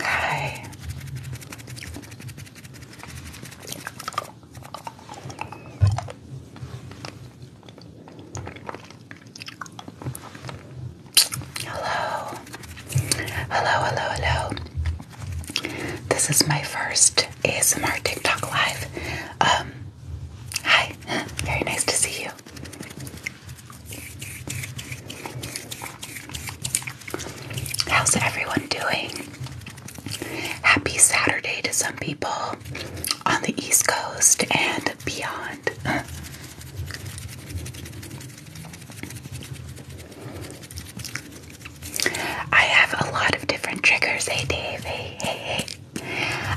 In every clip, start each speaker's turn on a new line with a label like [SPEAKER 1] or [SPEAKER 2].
[SPEAKER 1] Hi. Hello. Hello, hello, hello. This is my first ASMR TikTok live. hi, very nice to see you. How's everyone doing? Happy Saturday to some people on the East Coast and beyond. I have a lot of different triggers. Hey, Dave. Hey, hey, hey.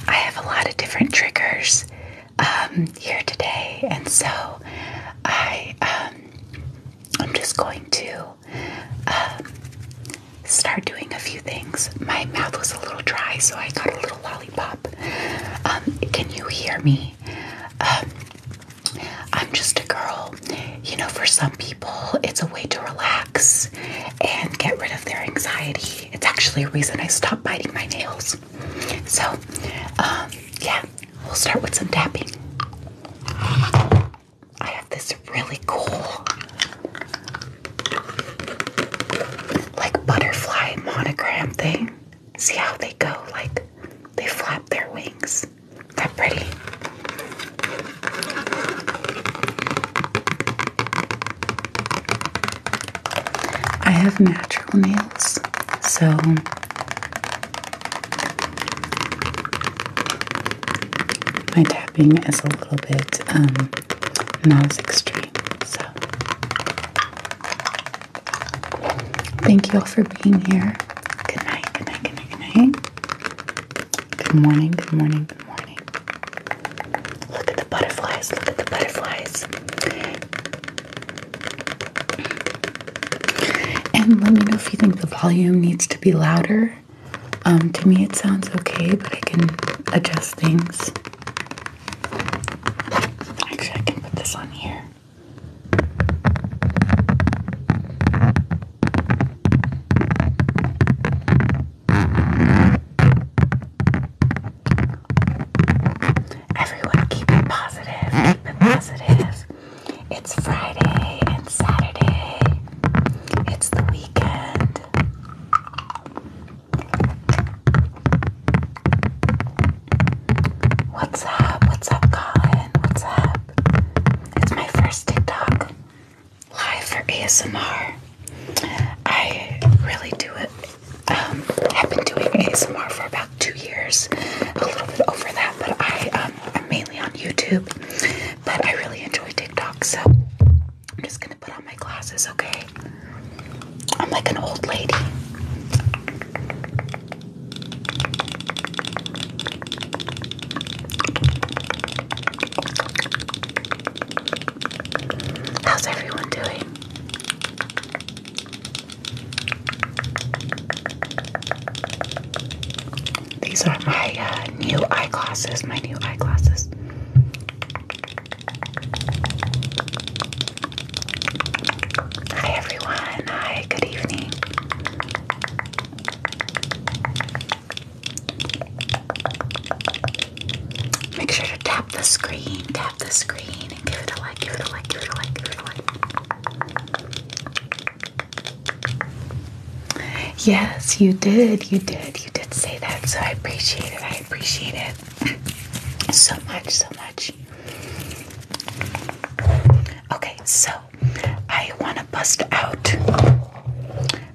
[SPEAKER 1] I have a lot of different triggers um, here today, and so I um, I'm just going to um, start doing a few things. My mouth was a little dry, so I got a little lollipop. Um, can you hear me? Um, I'm just a girl. You know, for some people, it's a way to relax and get rid of their anxiety. It's actually a reason I stopped biting my nails. So, um, yeah, we'll start with some tapping. I have this really cool, like, butterfly monogram thing. See how they go? Like, they flap their wings. they pretty. I have natural nails, so my tapping is a little bit um, not as extreme. So, thank you all for being here. Good night, good night, good night, good night.
[SPEAKER 2] Good morning, good morning,
[SPEAKER 1] good morning. Look at the butterflies, look at the butterflies. And let me know if you think the volume needs to be louder. Um, to me, it sounds okay, but I can adjust things.
[SPEAKER 2] Actually, I can put this on here. Everyone, keep it positive. Keep it positive. It's Friday and Saturday. It's the weekend. What's up? What's up, Colin? What's up? It's my first
[SPEAKER 1] TikTok live for ASMR. I really do it. Um, have been doing ASMR for about two years, a little bit over that, but I um, I'm mainly on YouTube. But I really enjoy TikTok, so I'm just gonna put on my glasses, okay? I'm like an old lady. How's everyone doing? These are my uh, new eyeglasses, my new eyeglasses. Hi everyone, hi, good evening. Make sure to tap the screen, tap the screen, give it a like, give it a like, give it a like, give it a like. Yes, you did, you did, you did say that, so I appreciate it, I appreciate it so much, so much. Okay, so I want to bust out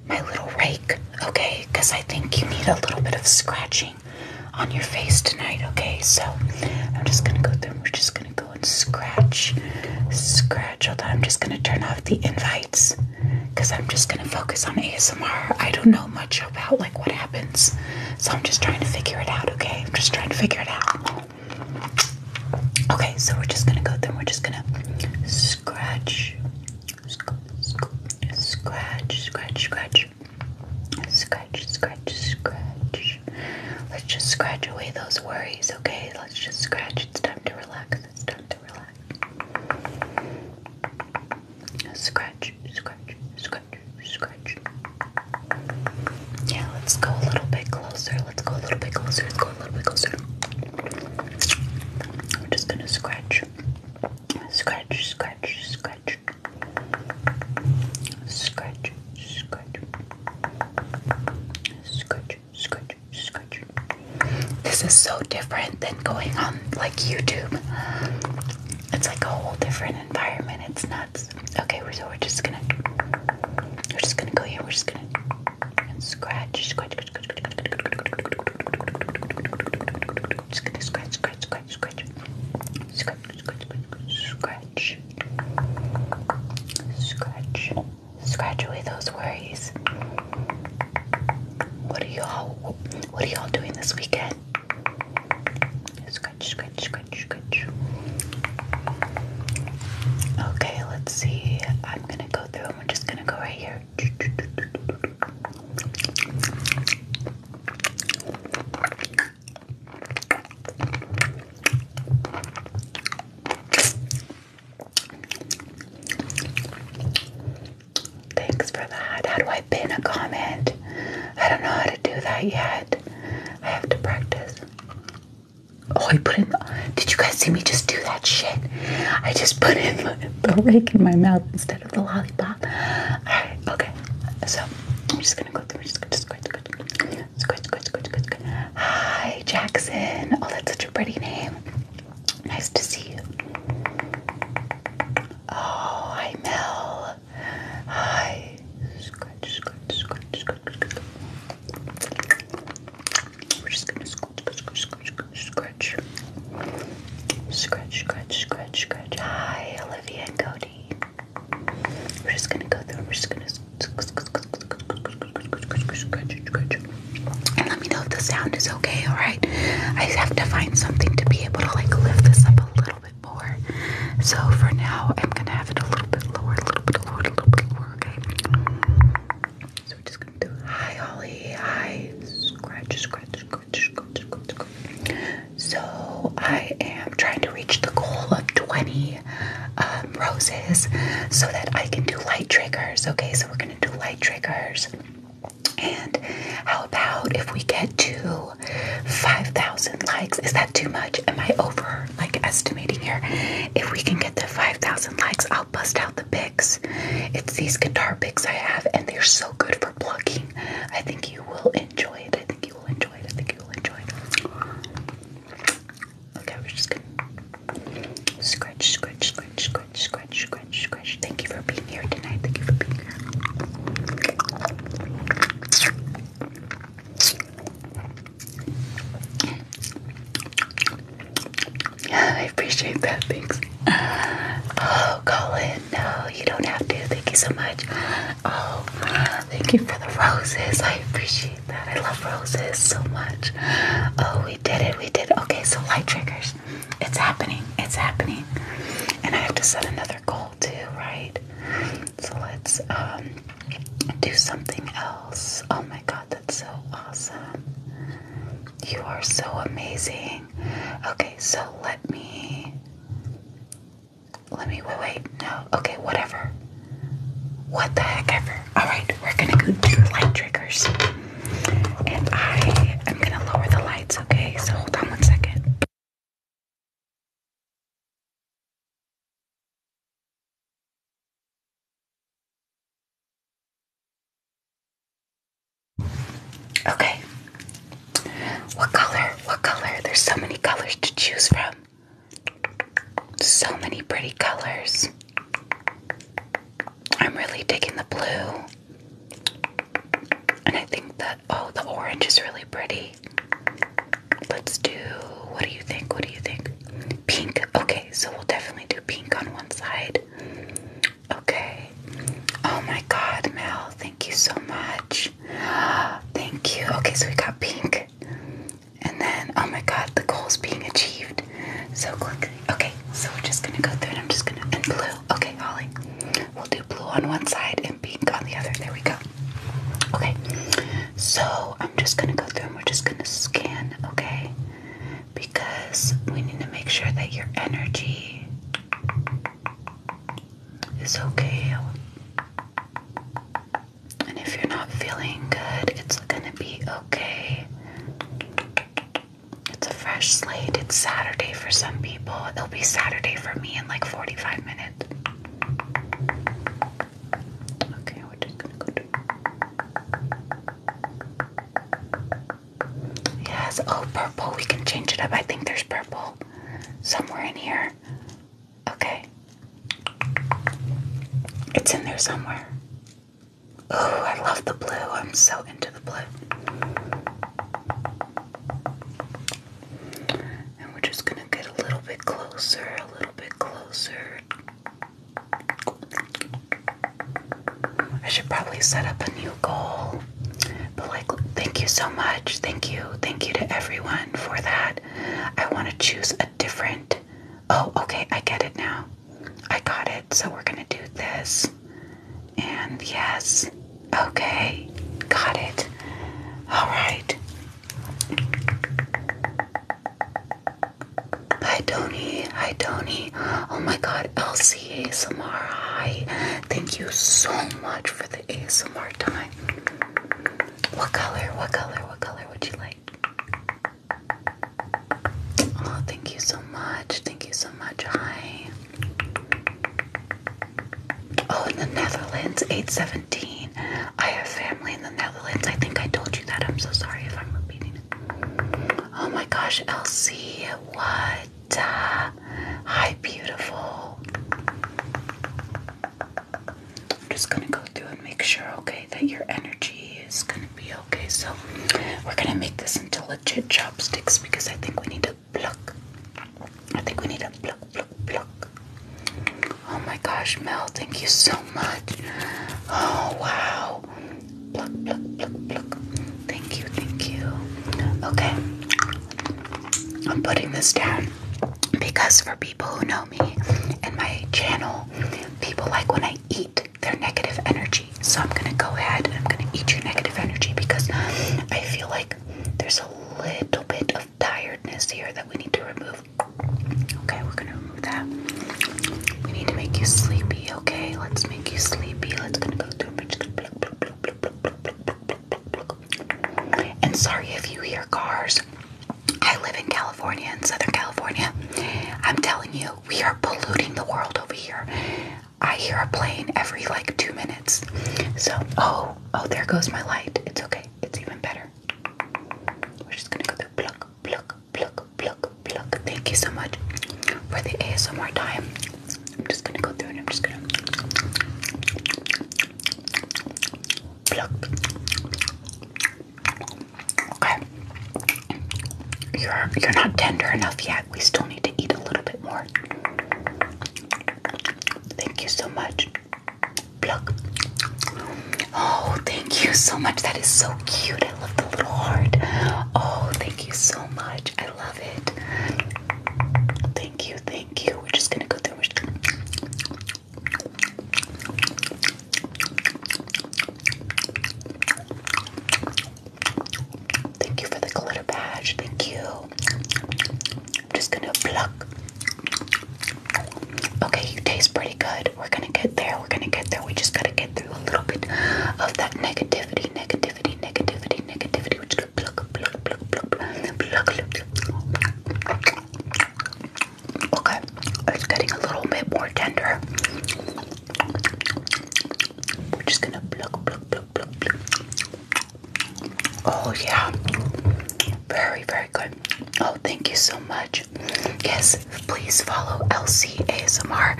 [SPEAKER 1] my little rake, okay? Because I think you need a little bit of scratching on your face tonight, okay? So I'm just gonna go through. We're just gonna go and scratch, scratch. Although I'm just gonna turn off the invites because I'm just gonna focus on ASMR. I don't know much about like what happens, so I'm just trying to figure it out, okay? I'm just trying to figure it out. Okay, so we're just gonna go through. We're just gonna scratch, Scratch, scratch, scratch. Scratch, scratch, scratch. Let's just scratch away those worries, okay? Let's just scratch. It's time to relax. It's time to relax. Scratch, scratch, scratch, scratch. Yeah, let's go a little bit closer. Let's go a little bit closer. Let's go a little bit closer. We're just gonna scratch. Scratch, scratch, scratch. Scratch, scratch. Scratch, scratch, scratch. This is so different than going on like YouTube. It's like a whole different environment. It's nuts. Okay, so we're just gonna we're just gonna go here, we're just gonna and scratch, scratch, scratch. Just gonna scratch, scratch, scratch, scratch. Scratch, scratch, scratch, scratch. Scratch. Scratch away those worries. What are y'all what are y'all doing this weekend? Scratch, scratch, scratch, scratch. Okay, let's see. I'm gonna go through and we're just gonna go right here. Thanks for that. How do I pin a comment? I don't know how to do that yet. I have to practice. Oh, I put in. Did you guys see me just do that shit? I just put in the rake in my mouth instead of the lollipop. Alright, okay. So I'm just gonna go through just good, just good, good, good. Hi Jackson. Oh, that's such a pretty name. Nice to see you. Oh, hi Mel. Hi. Scratch, scratch, scratch, scratch, scratch. We're just gonna scratch, scratch, scratch, scratch, scratch, scratch, scratch, scratch. Hi, Olivia and Cody. We're just gonna go through. We're just gonna scratch, scratch, and let me know if the sound is okay. All right, I have to find something to be able to like lift this up a little bit more. So for now, I'm gonna have it a little bit lower, a little bit lower, a little bit lower. Okay. So we're just gonna do. Hi, Holly. Hi. Scratch, scratch, scratch. So I am trying to reach the goal of 20 um, roses so that I can do light triggers. Okay, so we're gonna do light triggers. And how about if we get to 5,000 likes? Is that too much? Am I over like estimating here? If we can get the 5,000 likes, I'll bust out the big picks. It's these guitar picks I have, and they're so good for plucking. I think you will enjoy it. I think you will enjoy it. I think you will enjoy it. Okay, we're just gonna scratch, scratch, scratch, scratch, scratch, scratch, scratch. Thank you for being here tonight. Thank you for being here. I appreciate that. Thanks. Oh, Colin, no, you don't have to. Thank you so much. Oh, thank you for the roses. I appreciate that. I love roses so much. Oh, we did it. We did. Okay, so light triggers. It's happening. It's happening. And I have to set another goal too, right? So let's um, do something else. Oh my god, that's so awesome. You are so amazing. Okay, so let me let me wait wait no okay whatever what the heck ever all right we're gonna go do light triggers and i am gonna lower the lights okay so hold on one second
[SPEAKER 2] Okay. What color? What color? There's so many colors
[SPEAKER 1] to choose from. So many pretty colors. I'm really digging the blue. And I think that, oh, the orange is really pretty. Let's do, what do you think? What do you think? Pink. Okay, so we'll definitely do pink on one side. Okay. Oh my god, Mel, thank you so much. Thank you. Okay, so we got pink. And then, oh my god, the goal is being achieved so quickly. Okay, so we're just gonna go through and I'm just gonna, and blue. Okay, Holly. We'll do blue on one side and pink on the other. There we go. Okay, so I'm just gonna go through and we're just gonna scan, okay? Because we need to make sure that your energy is okay. And if you're not feeling good, it's gonna be okay. It's a fresh slate. It's Saturday for some people. It'll be Saturday for me in like 45 minutes. Okay, we're just gonna go to. Yes. Oh, purple. We can change it up. I think there's purple somewhere in here. Okay. It's in there somewhere. Oh, I love the blue. I'm so into the blue. And we're just going to get a little bit closer, a little bit closer. I should probably set up a new goal. But, like, thank you so much. Thank you. Thank you to everyone for that. I want to choose a different. Oh, okay. I get it now. I got it. So, we're going to do this. And yes. Okay. Got it. All right. Hi, Tony. Hi, Tony. Oh my god, LCA Samara. Hi. Thank you so much for the ASMR time. What color? What color? What color would you like? Oh, thank you so much. Thank you so much. Hi. Oh, in the Netherlands, 817. I have family in the Netherlands. I think I told you that. I'm so sorry if I'm repeating Oh my gosh, LC, what? Hi, beautiful. I'm just gonna go through and make sure, okay, that your energy is gonna be okay. So we're gonna make this into legit chopsticks because I think we need to block. I think we need to pluck, pluck, pluck. Oh my gosh, Mel, thank you so much. Oh wow. Pluck, pluck, pluck, pluck. Thank you, thank you. Okay. I'm putting this down because for people who know me and my channel, people like when I eat their negative energy. So I'm gonna go ahead and I'm gonna eat your negative energy because I feel like there's a little bit of tiredness here that we need to remove. Okay, we're gonna remove that. We need to make you sleepy, okay? Let's make you sleepy. Let's gonna go through. And sorry if you hear cars. I live in California, in Southern California. I'm telling you, we are polluting the world over here. I hear a plane every like two minutes. So, oh, oh, there goes my light. It's okay. It's even better. We're just gonna go through pluck, pluck, pluck, pluck, pluck. Thank you so much for the ASMR time. I'm just gonna go through and I'm just gonna Okay. You're you're not tender enough yet. We still need to eat a little bit more. Thank you so much. Pluck. Oh, thank you so much. That is so cute. I love the little heart. Oh, thank you so much. I love it. Thank you, thank you. We're just gonna go through. Thank you for the glitter badge. Thank you. I'm just gonna pluck. Okay, you taste pretty good. We're gonna get there. We're gonna get there. We just gotta get through a little bit of that negativity, negativity, negativity, negativity. we Okay, it's getting a little bit more tender. We're just gonna Oh, yeah, very, very good. Oh, thank you so much. Yes, please follow LC ASMR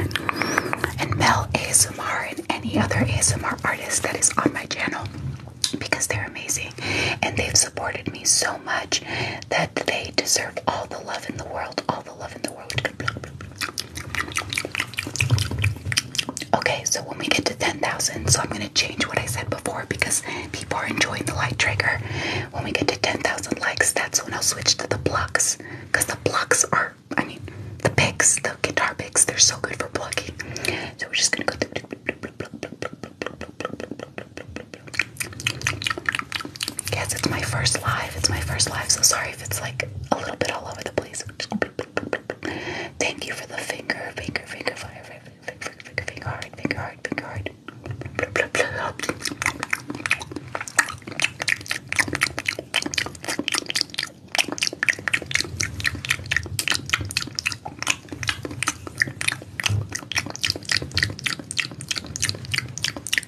[SPEAKER 1] and Mel ASMR and any other ASMR artist that is on my channel because they're amazing and they've supported me so much that they deserve all the love in the world. All the love in the world. Okay, so when we get to 10,000, so I'm going to change what I said before because people are enjoying the light trigger. When we get to 10,000 likes, that's when I'll switch to the blocks because the blocks are, I mean, the pics, the guitar picks, they're so good for plucking. So we're just gonna go. Yes, it's my first live. It's my first live, so sorry if it's like a little bit all over the place. Thank you for the finger, finger, finger, fire, finger, finger, finger, finger, finger, hard, finger, hard, finger, hard.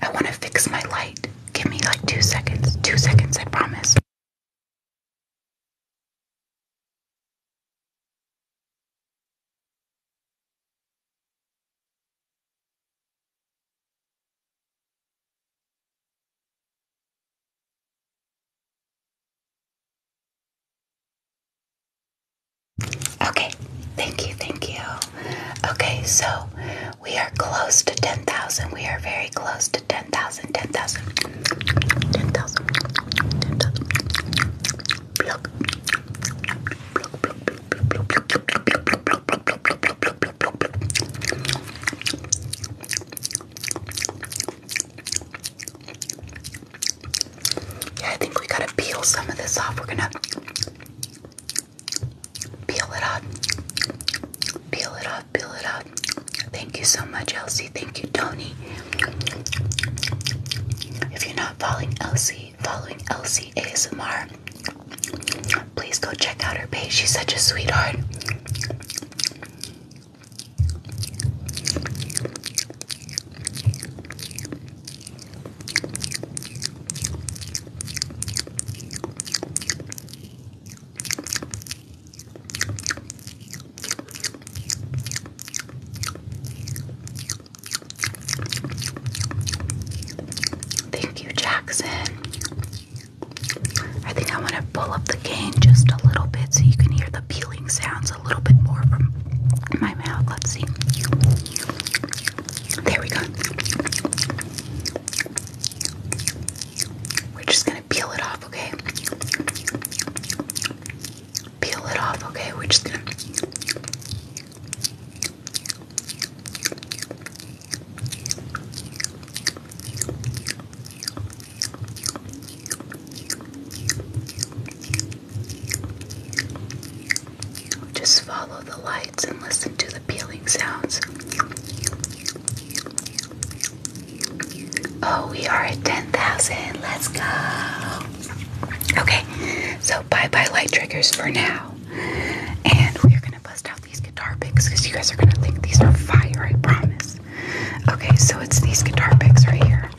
[SPEAKER 2] I want to fix my light. Give me like two seconds. Two seconds, I promise.
[SPEAKER 1] Okay, thank you, thank you. Okay, so we are close to 10,000. We are very close to 10,000, 10,000, 10,000, 10,000. Block. Yeah, I think we gotta peel some of this off. We're gonna peel it off. Peel it off, peel it off. Thank you so much, Elsie. Thank you, Tony. If you're not following Elsie, following Elsie ASMR, please go check out her page. She's such a sweetheart. Thank you, Jackson. I think I want to pull up the cane just a little bit so you can hear the peeling sounds a little bit more from my mouth. Let's see. There we go. We're just gonna peel it off, okay? Peel it off, okay? We're just gonna. Just follow the lights and listen to the peeling sounds. Oh, we are at 10,000. Let's go. Okay, so bye bye light triggers for now. And we're going to bust out these guitar picks because you guys are going to think these are fire, I promise. Okay, so it's these guitar picks right here.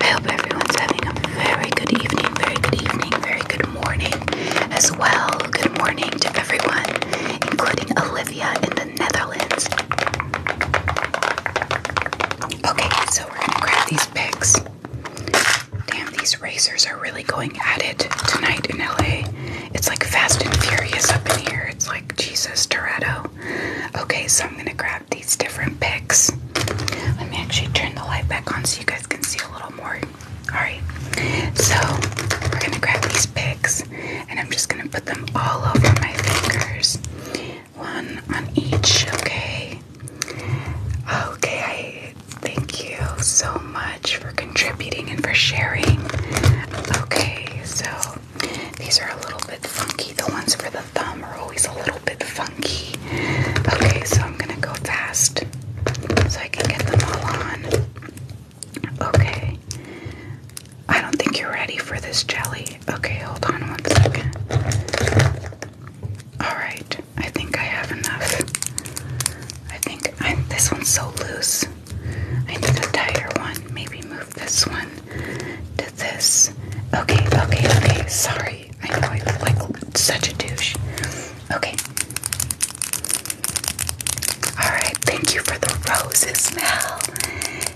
[SPEAKER 1] I hope everyone's having a very good evening, very good evening, very good morning as well. Good morning to everyone, including Olivia in the Netherlands. Okay, so we're gonna grab these picks. Damn, these racers are really going at it tonight in LA. It's like fast and furious up in here. It's like Jesus Toretto. Okay, so I'm gonna grab these different picks. Let me actually turn the light back on so you guys can see a little more. Alright, so we're gonna grab these picks and I'm just gonna put them all over my fingers one on each, okay? Okay, thank you so much for contributing and for sharing. Okay, so these are a little bit funky. The ones for the thumb are always a little bit funky. Okay, so I'm gonna go fast so I can get them all on. Okay, I don't think you're ready for this jelly. Okay, hold on one second. Alright, I think I have enough. I think I, this one's so loose. I need a tighter one. Maybe move this one to this. Okay, okay, okay. Sorry. I know I look like such a douche. Okay. Alright, thank you for the roses, Mel.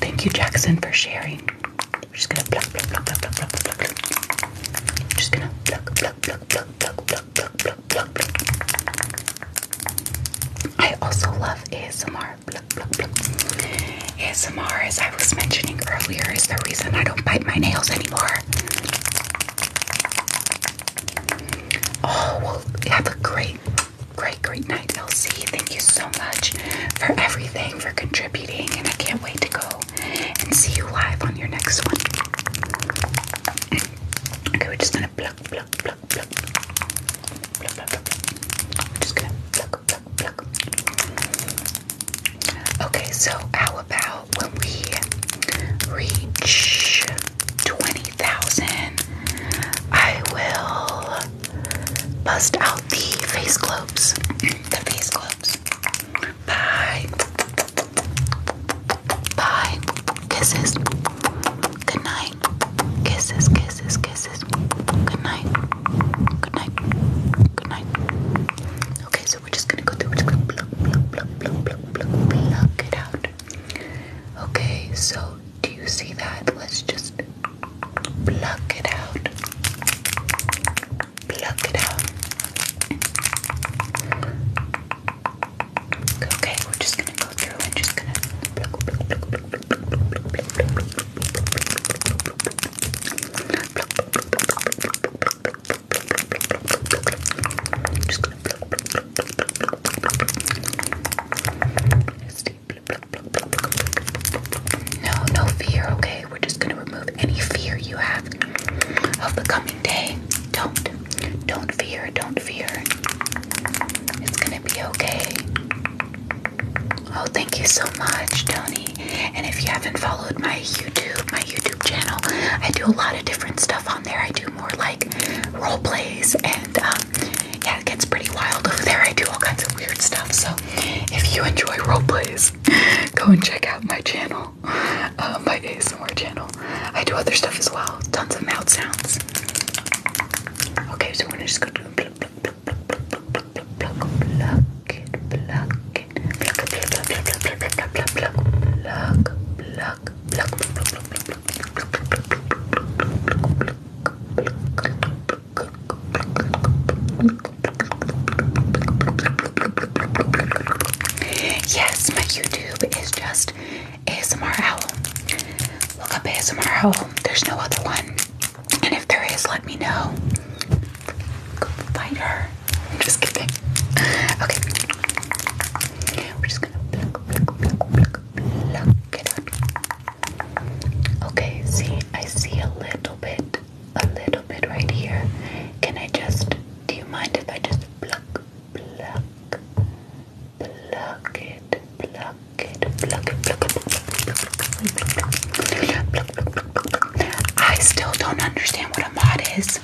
[SPEAKER 1] Thank you, Jackson, for sharing. just gonna Just gonna I also love ASMR. Pluck, pluck, ASMR, as I was mentioning earlier, is the reason I don't bite my nails anymore. Oh, well, have great Great, great night, Elsie. Thank you so much for everything, for contributing, and I can't wait to go and see you live on your next one. Okay, we're just gonna pluck, pluck, pluck, pluck. Pluck, pluck, pluck, pluck. We're just gonna pluck, pluck, pluck. Okay, so how about when we reach 20 2000, I will bust out the face globes. the face globes. Bye. Bye. Kisses. Good night. Kisses, kisses, kisses. Good night. Good night. Good night. Okay, so we're just gonna go through. We're just gonna pluck, it out. Okay, so do you see that? Let's just pluck it out. Pluck it out. Okay, we're just gonna go through and just gonna no, no fear, okay? We're just gonna remove any fear you have of the coming day. Don't, don't fear, don't fear. It's gonna be okay. Oh, thank you so much, Tony. And if you haven't followed my YouTube, my YouTube channel, I do a lot of different stuff on there. I do more like role plays and um, yeah, it gets pretty wild over there. I do all kinds of weird stuff. So if you enjoy roleplays, go and check out my channel, my ASMR channel. I do other stuff as well, tons of mouth sounds. Okay, so we're gonna just go Yes, my YouTube is just ASMR Look up ASMR There's no other one. And if there is, let me know. Go her. I'm just kidding. Okay. We're just gonna pluck, it up. Okay, see, I see a little bit, a little bit right here. Can I just, do you mind if I just pluck, pluck, pluck it, pluck it, pluck it, pluck it, pluck it, pluck it. I still don't understand what a mod is.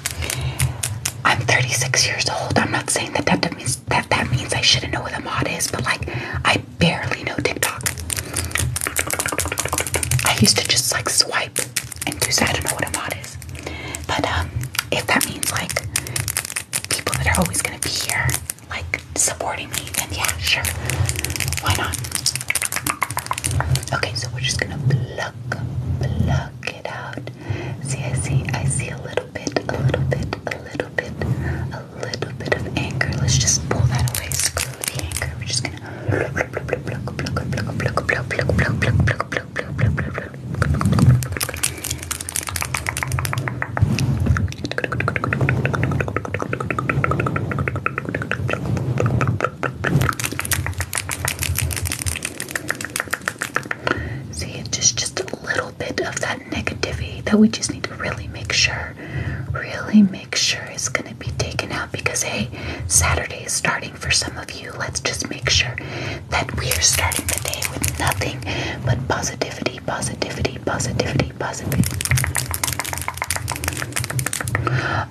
[SPEAKER 1] I'm 36 years old. I'm not saying that that means that that means I shouldn't know what a mod is, but like I barely know TikTok. I used to just like swipe and do so I don't know what a mod is. But um if that means like people that are always gonna be here, like supporting me, then yeah, sure. Why not? Okay, so we're just gonna block, pluck it out. See, I see, I see a little bit, a little bit, a little bit, a little bit of anger. Let's just pull that away. Screw the anchor. We're just gonna. See, it's just just a little bit of that negativity that we just need to really make sure, really make sure is going to be taken out because, hey, Saturday is starting for some of you. Let's just make sure that we are starting the day with nothing but positivity, positivity, positivity, positivity.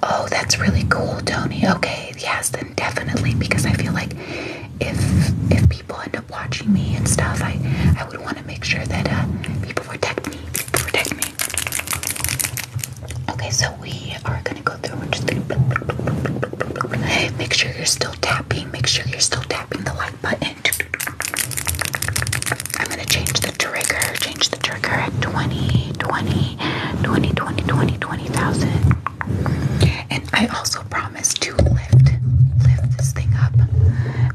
[SPEAKER 1] Oh, that's really cool, Tony. Okay, yes, then definitely because I feel like if if people end up watching me and stuff, I I would want want to make sure that people uh, protect me. protect me. Okay, so we are gonna go through make sure you're still tapping. Make sure you're still tapping the like button. I'm gonna change the trigger. Change the trigger at 20, And I also promise to lift, lift this thing up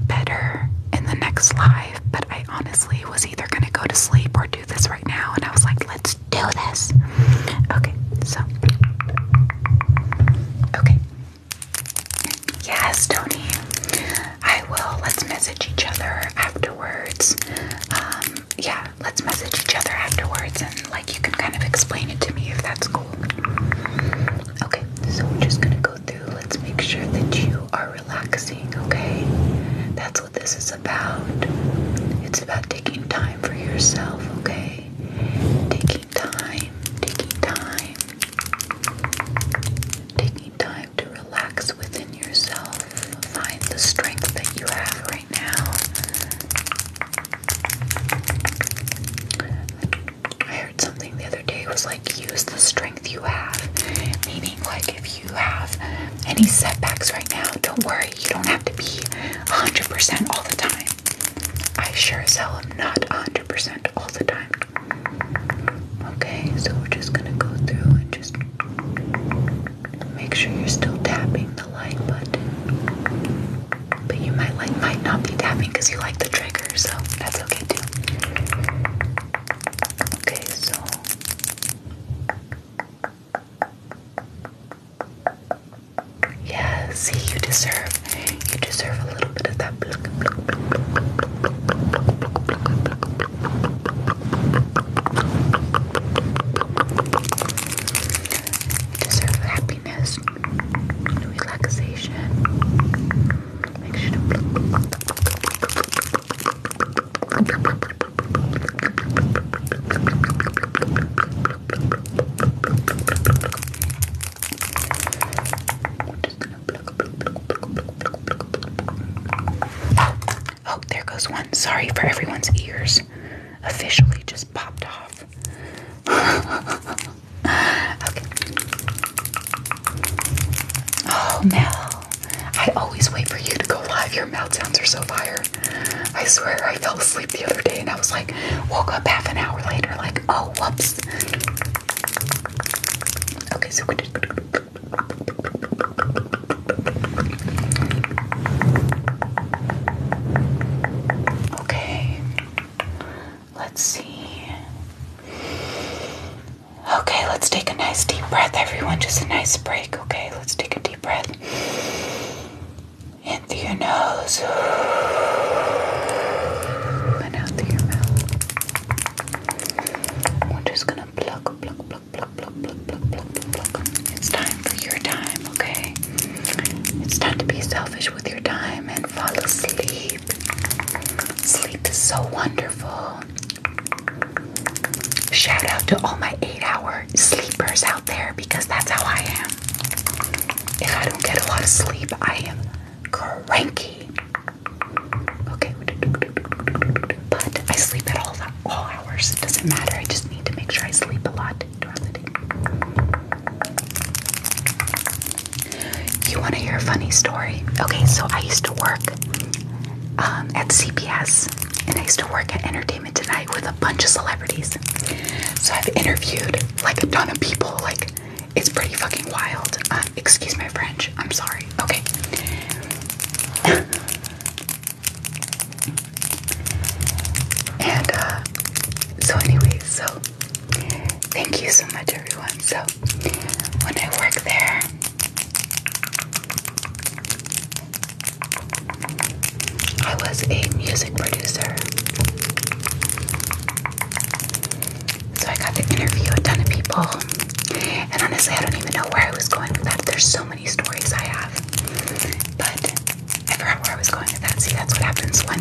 [SPEAKER 1] better in the next slide but I honestly was either gonna go to sleep or do this right now, and I was like, let's do this. Okay, so. Okay. Yes, Tony. I will. Let's message each other afterwards. Um, yeah, let's message each other afterwards, and like you can kind of explain it to me if that's cool. Okay, so we're just gonna go let's make sure that you are relaxing, okay? That's what this is about. It's about taking time for yourself, okay? Taking time, taking time, taking time to relax within yourself. Find the strength that you have right now. I heard something the other day was like use the strength you have. Meaning like if you have any setbacks right now, don't worry, you don't have to be 100% all the time. I sure as hell am not 100% all the time. Okay, so we're just gonna go through and just make sure you're still tapping the like button. But you might like might not be tapping because you like the trigger, so that's okay too. Okay, so yeah, see, you deserve, you deserve a little bit of that. You deserve happiness, relaxation. Oh, there goes one. Sorry for everyone's ears. Officially just popped off. Oh, Mel. I always wait for you to go live. Your mouth sounds are so fire. I swear I fell asleep the other day and I was like, woke up half an hour later, like, oh, whoops. Okay, so Okay, let's see. Okay, let's take a nice deep breath, everyone. Just a nice break, okay? Let's take a deep breath. In through your nose, and out through your mouth. We're just gonna pluck, pluck, pluck, pluck, pluck, pluck, pluck, pluck, pluck. It's time for your time, okay? It's time to be selfish with your time and fall asleep. Sleep is so wonderful. Shout out to all my eight hour sleepers out there because that's how I am. If I don't get a lot of sleep, I am cranky. Okay, but I sleep at all, all hours. It doesn't matter. I just need to make sure I sleep a lot throughout the day. You want to hear a funny story? Okay, so I used to work um, at CPS, and I used to work at Entertainment Tonight with a bunch of celebrities. So I've interviewed like a ton of people. Like it's pretty fucking wild. Um, excuse my French. I'm sorry. Okay. and uh, so, anyways, so thank you so much, everyone. So when I work there. I was a music producer. So I got to interview a ton of people. And honestly, I don't even know where I was going with that. There's so many stories I have. But I forgot where I was going with that. See, that's what happens when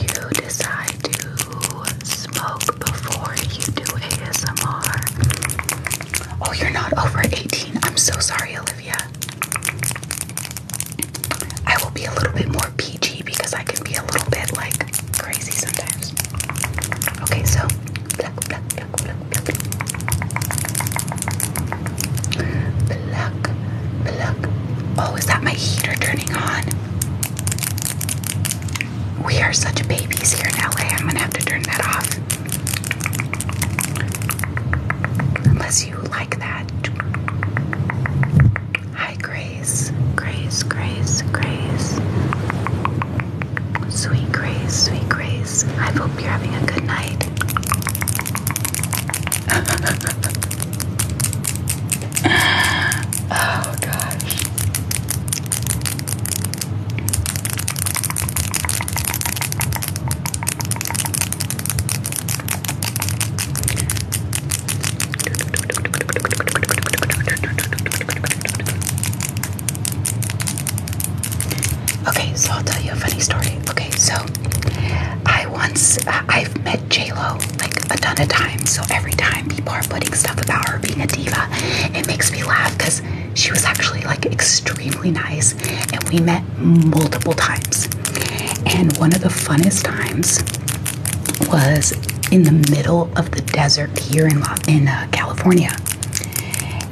[SPEAKER 1] you decide to smoke before you do ASMR. Oh, you're not over 18. I'm so sorry, Olivia. I will be a little bit more PG because I can be a little bit like crazy sometimes. Okay, so pluck, pluck, pluck, pluck, pluck. Pluck, pluck. Oh, is that my heater turning on? We are such babies here in LA. I'm gonna have to turn that off. Unless you like that. Hi, Grace. Grace, Grace, Grace. Sweet Grace, sweet Grace. I hope you're having a good night. oh gosh. Okay, so I'll tell you a funny story. Okay, so I once I've met JLo like a ton of times, so every time people are putting stuff about her being a diva, it makes me laugh because she was actually like extremely nice and we met multiple times. And one of the funnest times was in the middle of the desert here in in uh, California.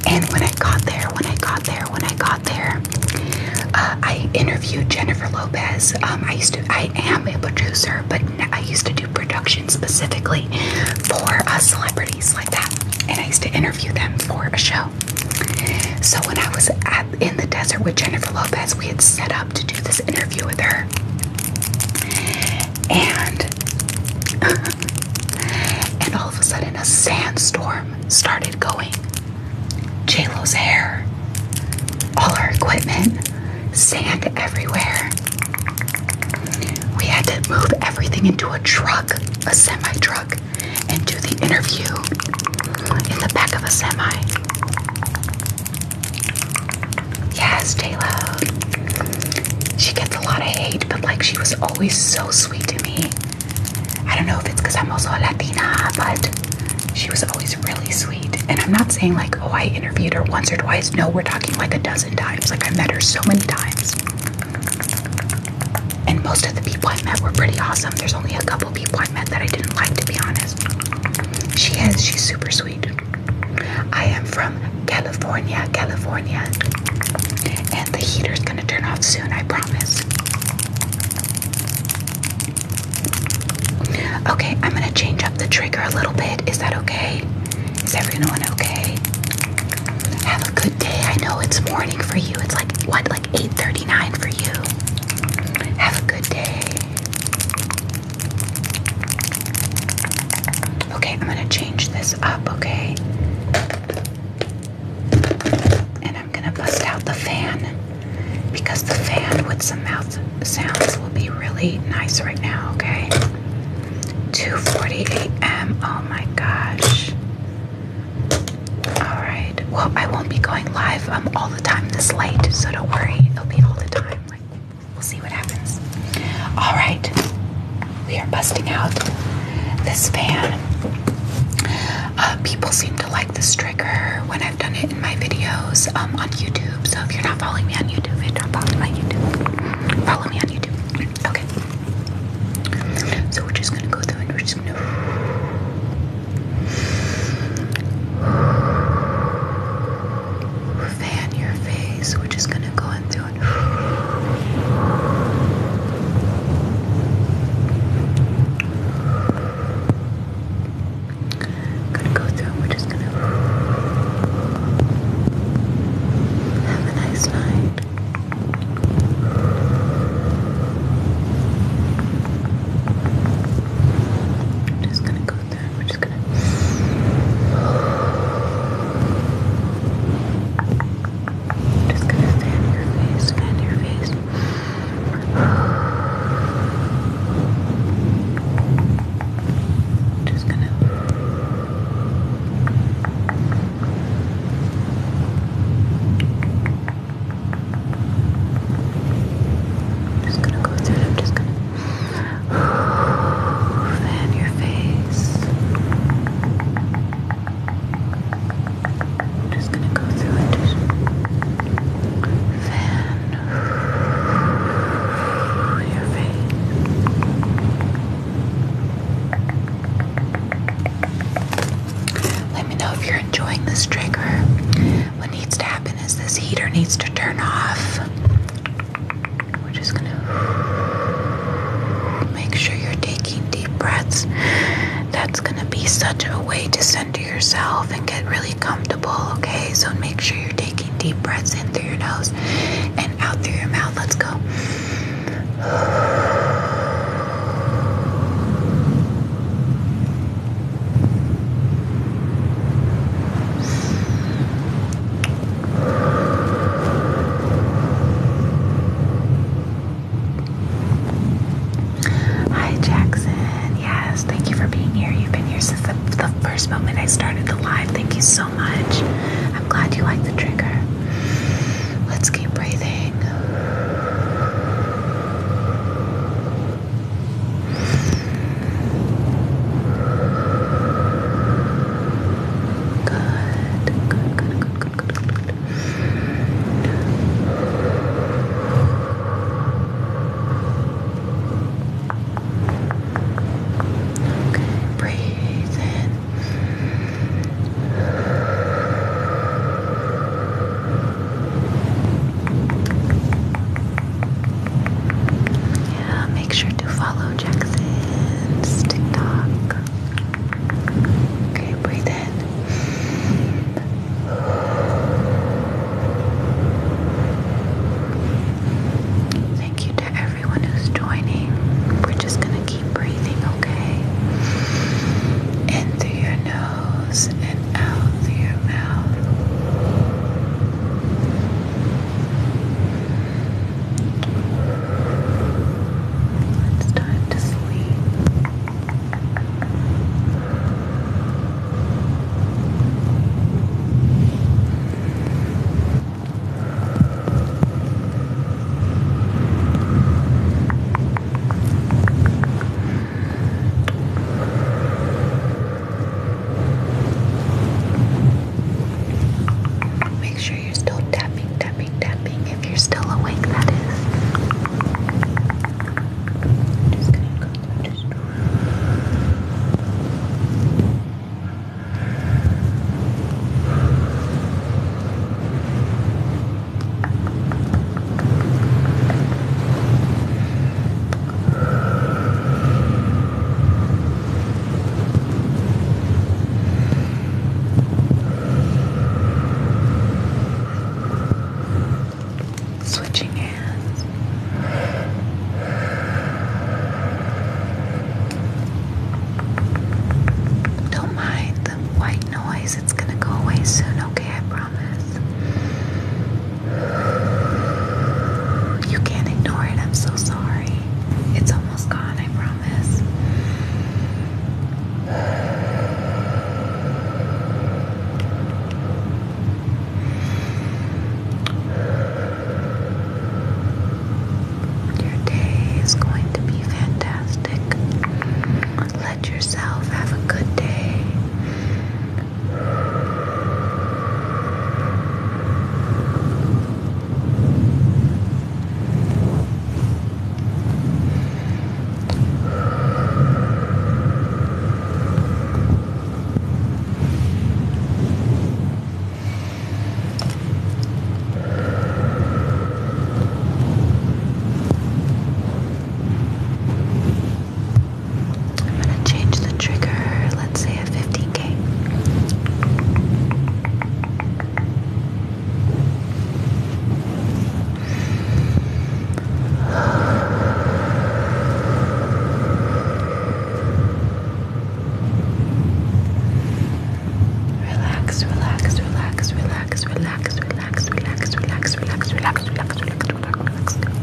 [SPEAKER 1] And when I got there, when I got there, when I got there, uh, I interviewed Jennifer Lopez. Um, I used to, I am a producer, but I used to production specifically for uh, celebrities like that, and I used to interview them for a show. So when I was at, in the desert with Jennifer Lopez, we had set up to do this interview with her, and and all of a sudden a sandstorm started going. J Lo's hair, all our equipment, sand everywhere. We had to move everything into a truck, a semi truck, and do the interview in the back of a semi. Yes, Taylor. She gets a lot of hate, but like she was always so sweet to me. I don't know if it's because I'm also a Latina, but she was always really sweet. And I'm not saying like, oh, I interviewed her once or twice. No, we're talking like a dozen times. Like I met her so many times. And most of the people I met were pretty awesome. There's only a couple people I met that I didn't like, to be honest. She is, she's super sweet. I am from California, California. And the heater's gonna turn off soon, I promise. Okay, I'm gonna change up the trigger a little bit. Is that okay? Is everyone okay? Have a good day. I know it's morning for you. It's like what, like 8:39 for you. Have a good day. Okay, I'm gonna change this up. Okay, and I'm gonna bust out the fan because the fan with some mouth sounds will be really nice right now. Okay. 2:40 a.m. Oh my gosh. All right. Well, I won't be going live um all the time this late, so don't worry. It'll be all the time. Like we'll see what happens. All right. We are busting out this fan. Uh, people seem to like this trigger when I've done it in my videos um, on YouTube. So if you're not following me on YouTube, if you're on YouTube, follow me on YouTube. Okay. So we're just gonna go through and we're just gonna fan your face. We're just gonna go in through and gonna go through and we're just gonna have a nice night. I'm just gonna go through. We're just gonna. I'm just gonna fan your face, fan your face. Just gonna. I'm just gonna go through it. I'm just gonna fan your face. I'm just gonna go through it. Just fan your face. Let me know if you're enjoying this trigger. What needs to happen is this heater needs to turn off. We're just gonna make sure you're taking deep breaths. That's gonna be such a way to center yourself and get really comfortable, okay? So make sure you're taking deep breaths in through your nose out through your mouth. Let's go. Hi, Jackson. Yes, thank you for being here. You've been here since the, the first moment I started the live. Thank you so I'm glad you like the trigger. Let's keep breathing. Good, good, good, good, good, breathe in yeah, make sure to follow Jackson's TikTok. Okay, breathe in. Thank you to everyone who's joining. We're just going to keep breathing, okay? In through your nose and out through your mouth. It's time to sleep. Make sure you're still tapping, tapping, tapping. If you're still awake, that Switching hands. Don't mind the white noise. It's gonna go away soon, okay? I promise. You can't ignore it. I'm so sorry. It's almost gone, I promise. Your day is going to be fantastic. Let yourself have a good day. I'm going to change the trigger, let's say a 15k. Relax, relax, relax, relax relax, relax, relax, relax, relax, relax, relax, relax, relax, relax, relax, relax, relax, relax, relax.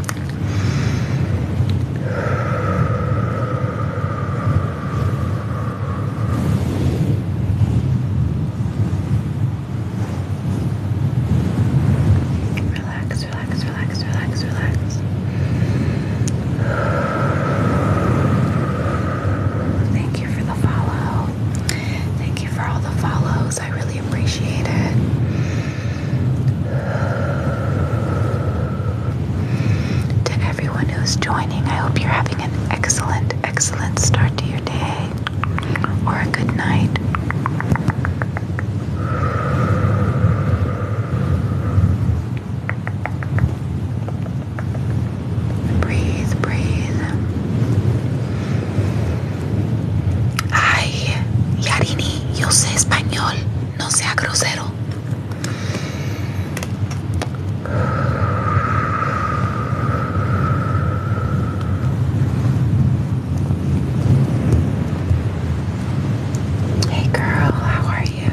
[SPEAKER 1] Thank you for the follow. Thank you for all the follows. I really appreciate it. To everyone who's joining, I hope you're having an excellent, excellent start to your day or a good night. Breathe, breathe. Ay, Yarini, yo sé español, no sea grosero. Hey girl, how are you?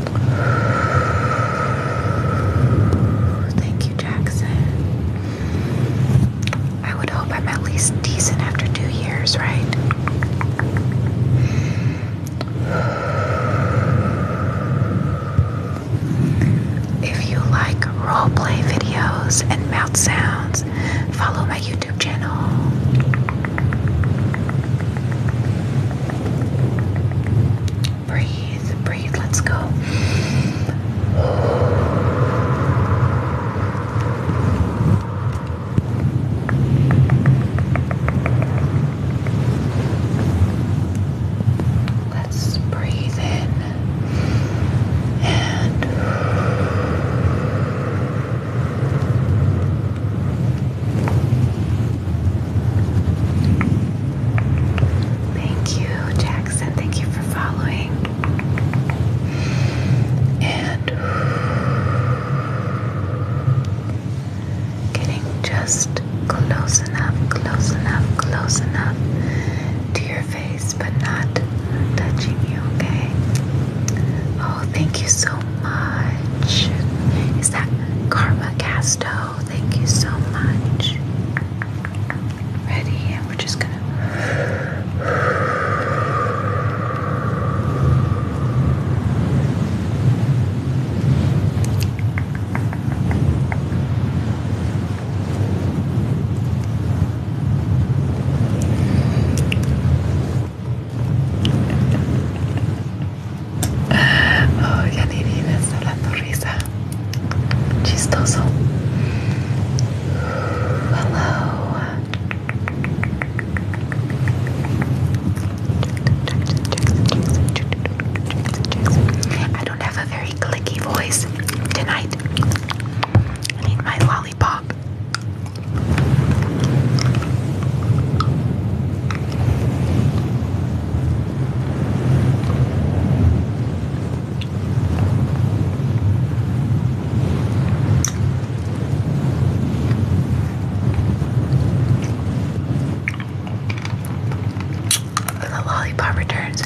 [SPEAKER 1] Thank you, Jackson. I would hope I'm at least decent after two years, right? If you like roleplay videos and mouth sounds, follow my YouTube channel breathe, breathe. Let's go. Let's breathe in and Thank you, Jackson. Thank you for following. And getting just close enough, close enough, close enough to your face, but not touching you, okay? Oh, thank you so much. Is that Karma Casto? Thank you so much. Ready, and we're just gonna. oh, ya ni vives hablando risa chistoso. Hello. I don't have a very clicky voice tonight. I need my lollipop. The lollipop returns.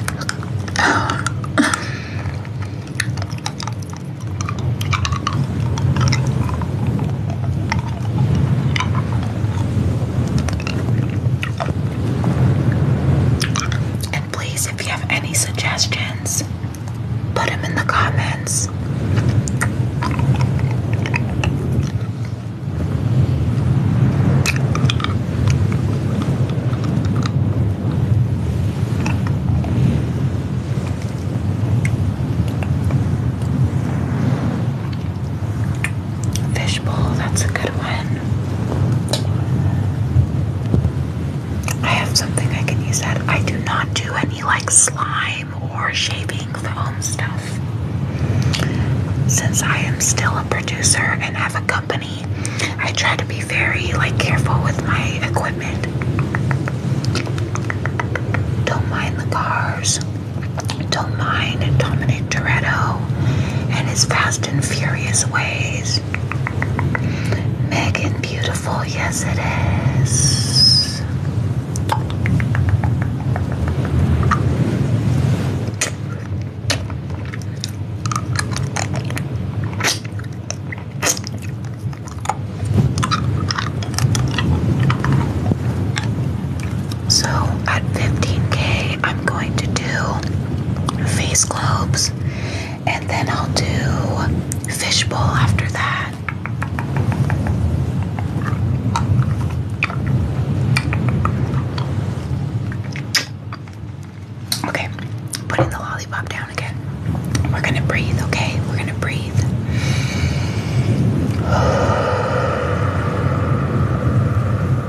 [SPEAKER 1] And please, if you have any suggestions, put them in the comments. Fishbowl, that's a good one. I have something I can use that. I do not do any like slime or shaving foam stuff. Since I am still a producer and have a company, I try to be very like careful with my equipment. Don't mind the cars. Don't mind Dominic. Greg and his fast and furious ways. Megan Beautiful, yes it is. So at 15k, I'm going to do face globes and then I'll do fishbowl after that. Okay, putting the lollipop down again. We're gonna breathe, okay? We're gonna breathe.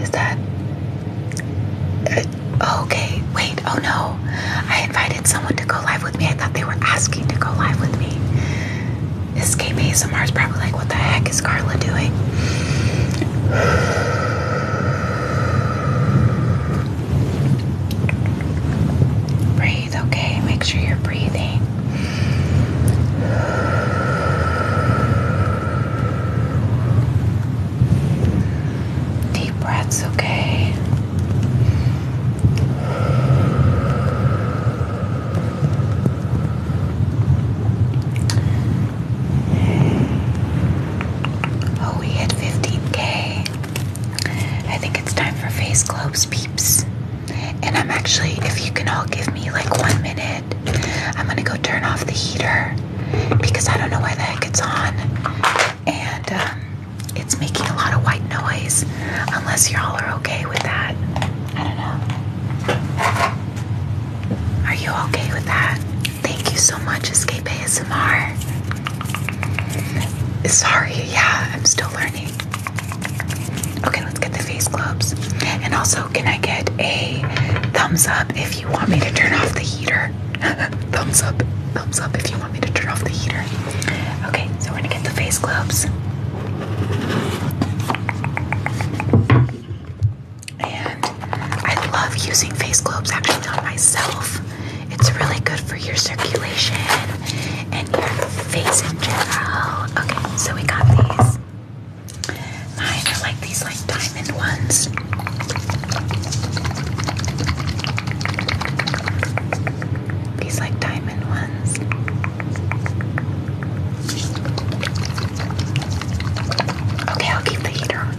[SPEAKER 1] Is that uh, okay? Wait, oh no. I invited someone to go live with me. I thought they were asking to go live with me. Escape ASMR is probably like, what the heck is Carla doing? Breathe, okay? Make sure you're breathing. Deep breaths, okay? Oh, we hit 15k. I think it's time for face globes, peeps. And I'm actually, if you can all give me like one minute, I'm gonna go turn off the heater because I don't know why the heck it's on. And um, it's making a lot of white noise, unless y'all are okay with that. I don't know. Are you okay with that? Thank you so much, Escape ASMR. Sorry, yeah, I'm still learning. Okay, let's get the face gloves. And also, can I get a thumbs up if you want me to turn off the heater? thumbs up, thumbs up if you want me to turn off the heater. Okay, so we're gonna get the face gloves. And I love using face gloves actually on myself. It's really good for your circulation and your face in general. Okay, so we got these. Mine are like these like diamond ones. These like diamond ones. Okay, I'll keep the heater on.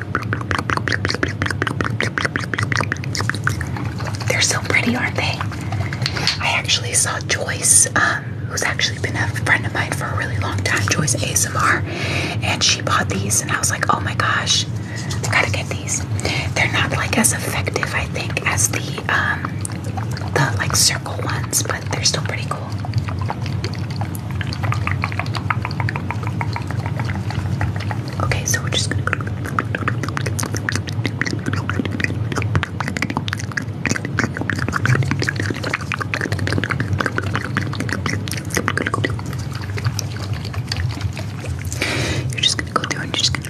[SPEAKER 1] They're so pretty, aren't they? I actually saw Joyce, um, who's actually been a friend of mine for a really long time, Joyce ASMR, and she bought these, and I was like, oh my gosh, I gotta get these. They're not like as effective, I think, as the um, the like circle ones, but they're still pretty cool. Okay, so we're just gonna You're just gonna go through and you're just gonna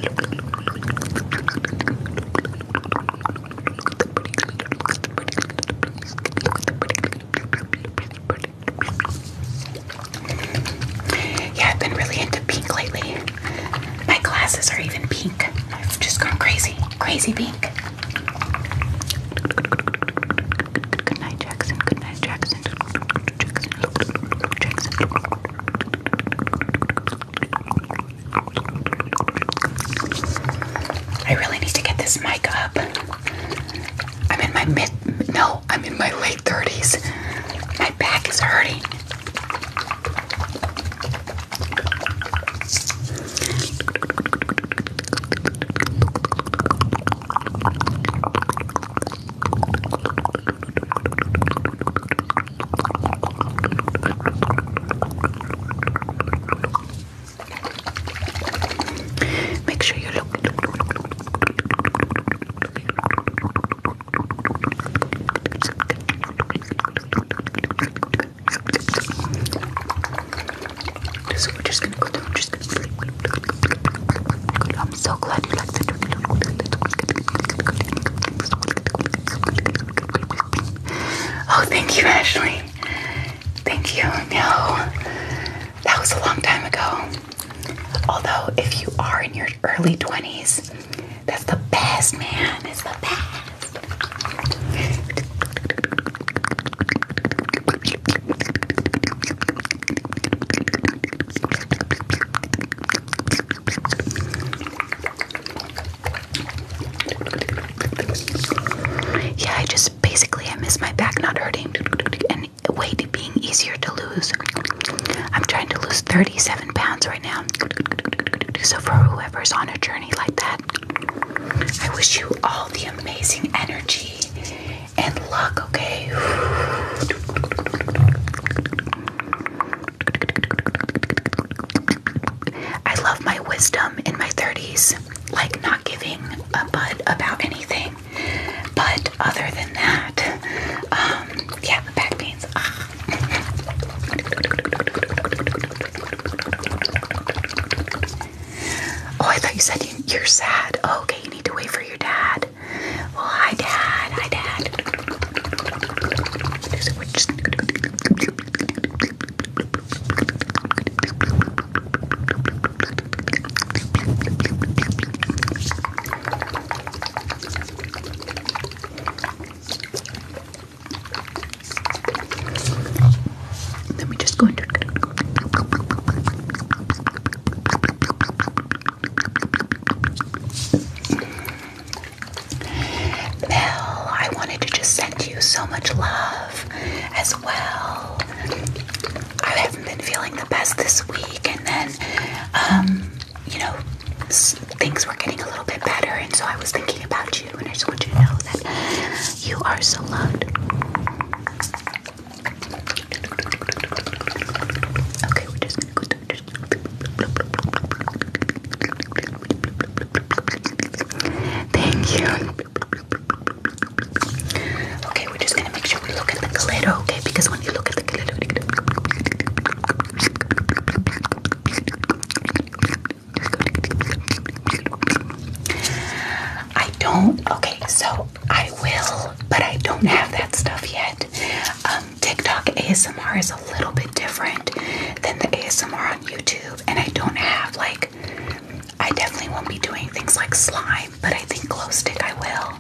[SPEAKER 1] yeah, I've been really into pink lately. My glasses are even pink. I've just gone crazy. Crazy pink. Good night, Jackson. Good night, Jackson. Jackson. Jackson. I really need to get this mic up. I'm in my mid, no, I'm in my late 30s. My back is hurting. Make sure you look, look, look, I'm so glad you like the thank you, Ashley. Thank you. No, that was a long time ago. Although, if you are in your early 20s, that's the best, man. It's the best. Yeah, I just basically I miss my back not hurting weight being easier to lose. I'm trying to lose 37 pounds right now. So for whoever's on a journey like that, I wish you all the amazing energy and luck, okay? I love my wisdom in my 30s, like not giving a bud about anything. But other than that, um, yeah, the back pains. Ah. Oh, I thought you said you, are sad. Oh, okay, you need to wait for your dad. Well, hi, dad. Hi, dad. Let me just go into Mel, I wanted to just send you so much love as well. I haven't been feeling the best this week, and then, um, you know, things were getting a little bit better, and so I was thinking about you, and I just want you to know that you are so loved. Okay, we're just gonna go. Thank you. Okay, we're just gonna make sure we look at the glitter, okay? Because when you look at the glitter, I don't. Okay, so I will, but I don't have that stuff yet. Um, TikTok ASMR is a little bit different than the ASMR on YouTube, and I don't have like. I definitely won't be doing things like slime but I think glow stick I will.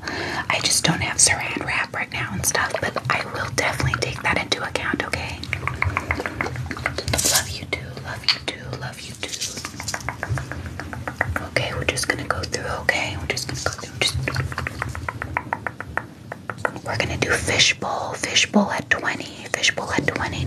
[SPEAKER 1] I just don't have saran wrap right now and stuff, but I will definitely take that into account, okay? Love you too, love you too, love you too. Okay, we're just gonna go through, okay? We're just gonna go through. We're gonna do fishbowl, fishbowl at 20, fishbowl at 20.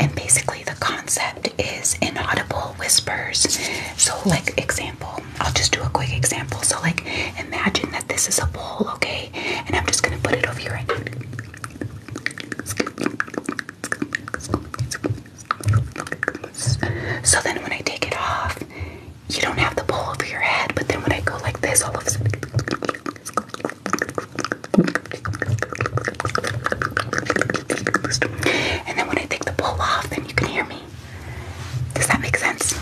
[SPEAKER 1] And basically, the concept is inaudible whispers. So, like, example, I'll just do a quick example. So, like, imagine that this is a bowl, okay? And I'm just gonna put it over your head. So then, when I take it off, you don't have the bowl over your head, but then when I go like this, all of and then when I take the bowl off, then you can hear me. Does that make sense?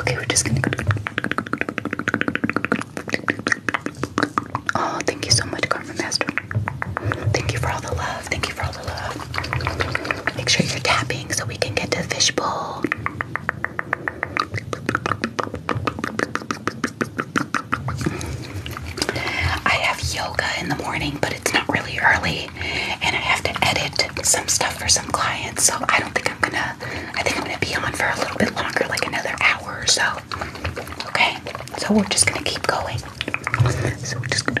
[SPEAKER 1] Okay, we're just gonna. Oh, thank you so much, Karma Master. Thank you for all the love. Thank you for all the love. Make sure you're tapping so we can get to the fishbowl. I have yoga in the morning, but it's not really early, and I have to edit some stuff for some clients, so I don't think I'm gonna. I think I'm gonna be on for a little bit longer, like another hour or so. Okay, so we're just gonna keep going.
[SPEAKER 2] So we're just gonna.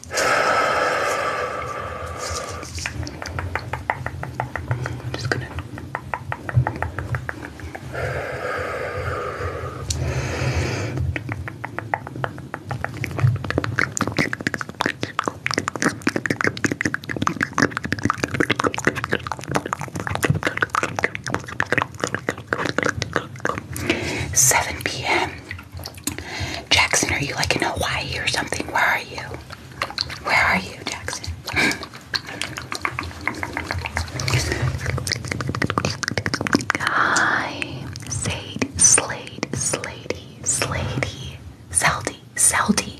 [SPEAKER 1] Seven p.m. Jackson, are you like in Hawaii or something? Where are you? Where are you, Jackson?
[SPEAKER 2] Guy, Sade, Slade, Slady,
[SPEAKER 1] Slady, Seldy, Seldy.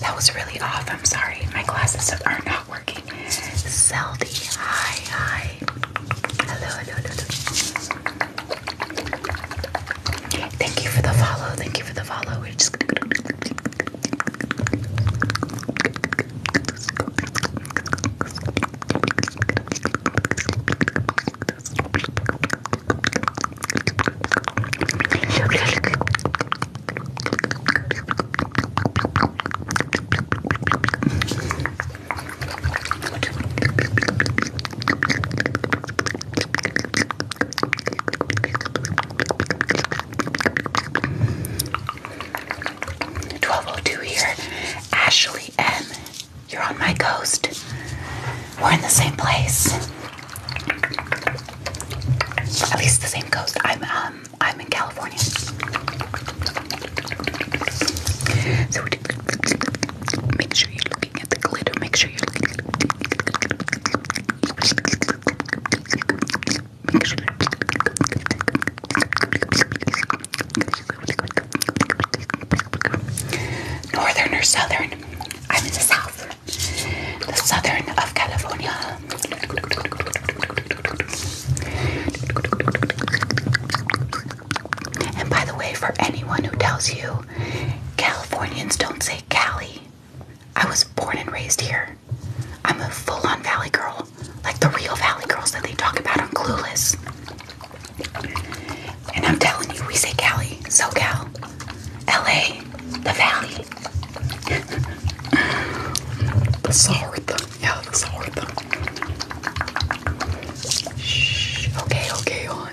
[SPEAKER 1] That was really off. I'm sorry. My glasses are not working. Seldy, hi, hi. Hello, hello, hello. Thank you for the follow. Thank you for the follow. We're just 1202 here. Ashley M. You're on my coast. We're in the same place. At least the same coast. I'm um I'm in California. So Make sure you're looking at the glitter. Make sure you're looking at the glitter. Northern or southern? I'm in the south. The southern of California. And by the way, for anyone who tells you Californians don't say Cali. I was born and raised here. I'm a full on Valley girl, like the real Valley girls that they talk about on Clueless. And I'm telling you, we say Cali, SoCal, LA, the Valley. the Yeah, the Shh. Okay, okay,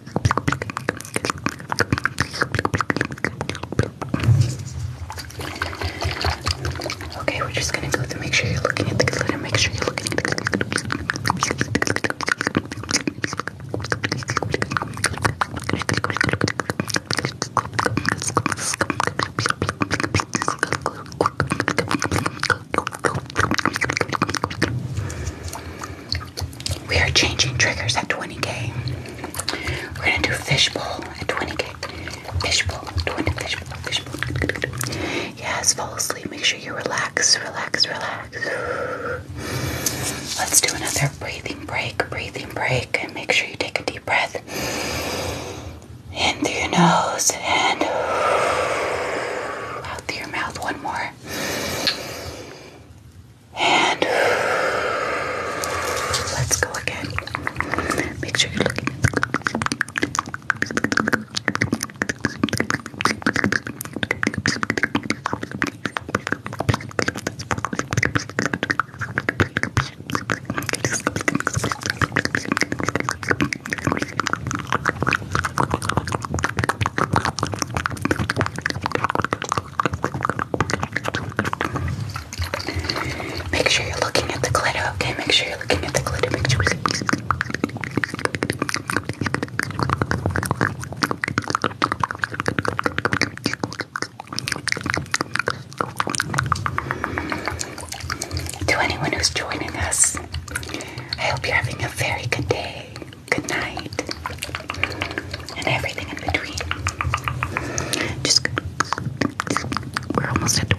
[SPEAKER 1] Okay, we're just gonna go through. Make sure you're looking at the glitter. Make sure you're looking at the glitter we are changing triggers at 20k. We're gonna do fishbowl at 20k. Fishbowl, 20 k fishbowl, fishbowl. Yes, fall asleep. Make sure you relax, relax, relax. Let's do another breathing break, breathing break, and make sure you take a deep breath in through your nose and out through your mouth. One more. And let's go again. Make sure you're looking Make sure you're looking at the glitter, okay? Make sure you're looking at the glitter. To anyone who's joining us, I hope you're having a very good day good night, and everything in between. Just we're almost at 20.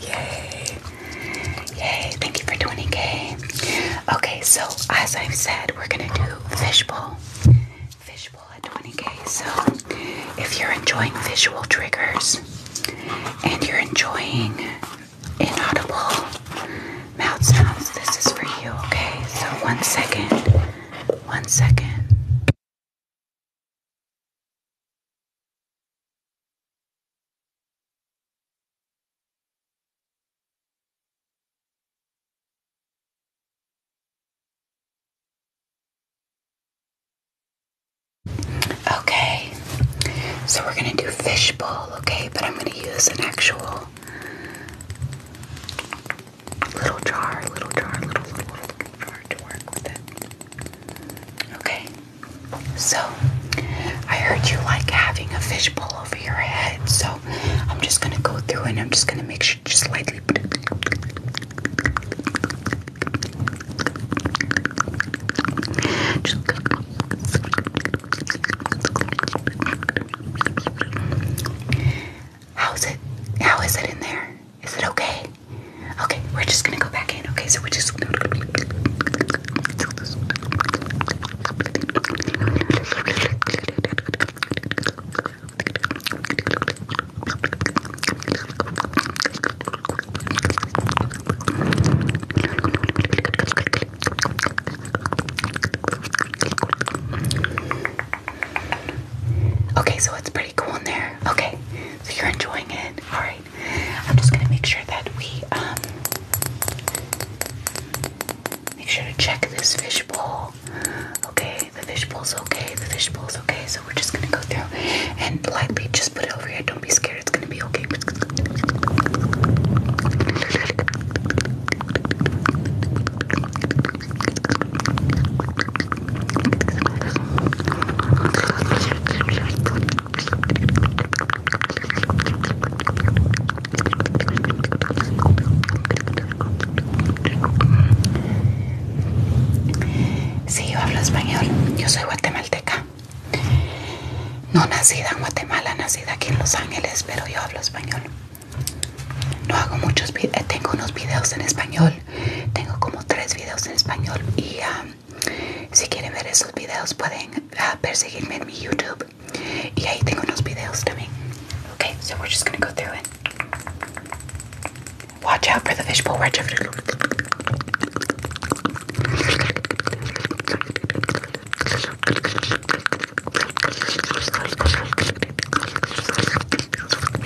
[SPEAKER 1] Yay. Yay. Thank you for 20k. Okay, so as I've said, we're gonna do fishbowl. Fishbowl at 20k. So if you're enjoying visual triggers and you're enjoying inaudible mouth sounds, this is for you, okay? So
[SPEAKER 2] one second. One second. Okay, so we're gonna do fishbowl, okay? But I'm gonna use an actual little jar, little jar, little, little,
[SPEAKER 1] little, little jar to work with it. Okay, so I heard you like having a fishbowl over your head, so I'm just gonna go through and I'm just gonna make sure just lightly. Just How's it? How is it in there? Is it okay? Okay, we're just gonna go back in. Okay, so we are just. Okay, so it's pretty cool in there. Okay, so you're enjoying it. All right. I'm just gonna make sure that we um make sure to check this fish bowl. Okay, the fish bowl's okay. The fish bowl's okay. So we're just gonna go through and lightly just put it over here. Don't be scared. It's gonna be okay. sí, yo hablo español, yo soy guatemalteca. No nacida en Guatemala, nacida aquí en Los Ángeles, pero yo hablo español. No hago muchos, eh, tengo unos videos en español, tengo como tres videos en español y Si quieren ver esos videos pueden uh, perseguirme en mi YouTube y ahí tengo unos videos también. Okay, so we're just gonna go through it. Watch out for the fishbowl. Watch out for the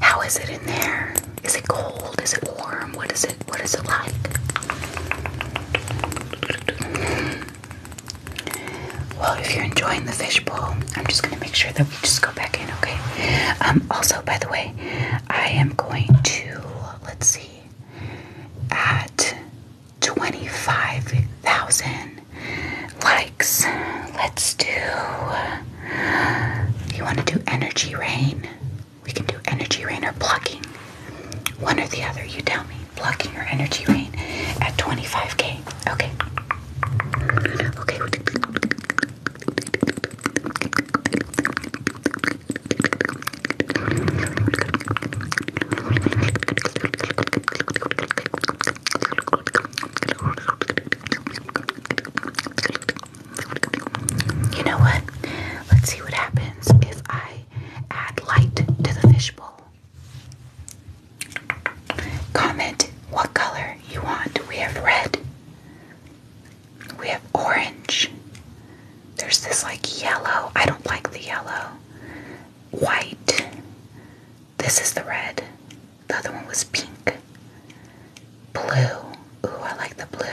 [SPEAKER 1] How is it in there? Is it cold? Is it warm? What is it? What is it like? Well, if you're enjoying the fishbowl, I'm just going to make sure that we just go back in, okay? Um, also, by the way, I am going to, let's see, at 25,000 likes. Let's do. Uh, you want to do energy rain? We can do energy rain or blocking. One or the other. You tell me. Blocking or energy rain at 25k. Okay. Okay. You know what? Let's see what happens if I add light to the fishbowl. Comment what color you want. We have red. We have orange. There's this like yellow. I don't like the yellow. White. This is the red. The other one was pink. Blue. Ooh, I like the blue.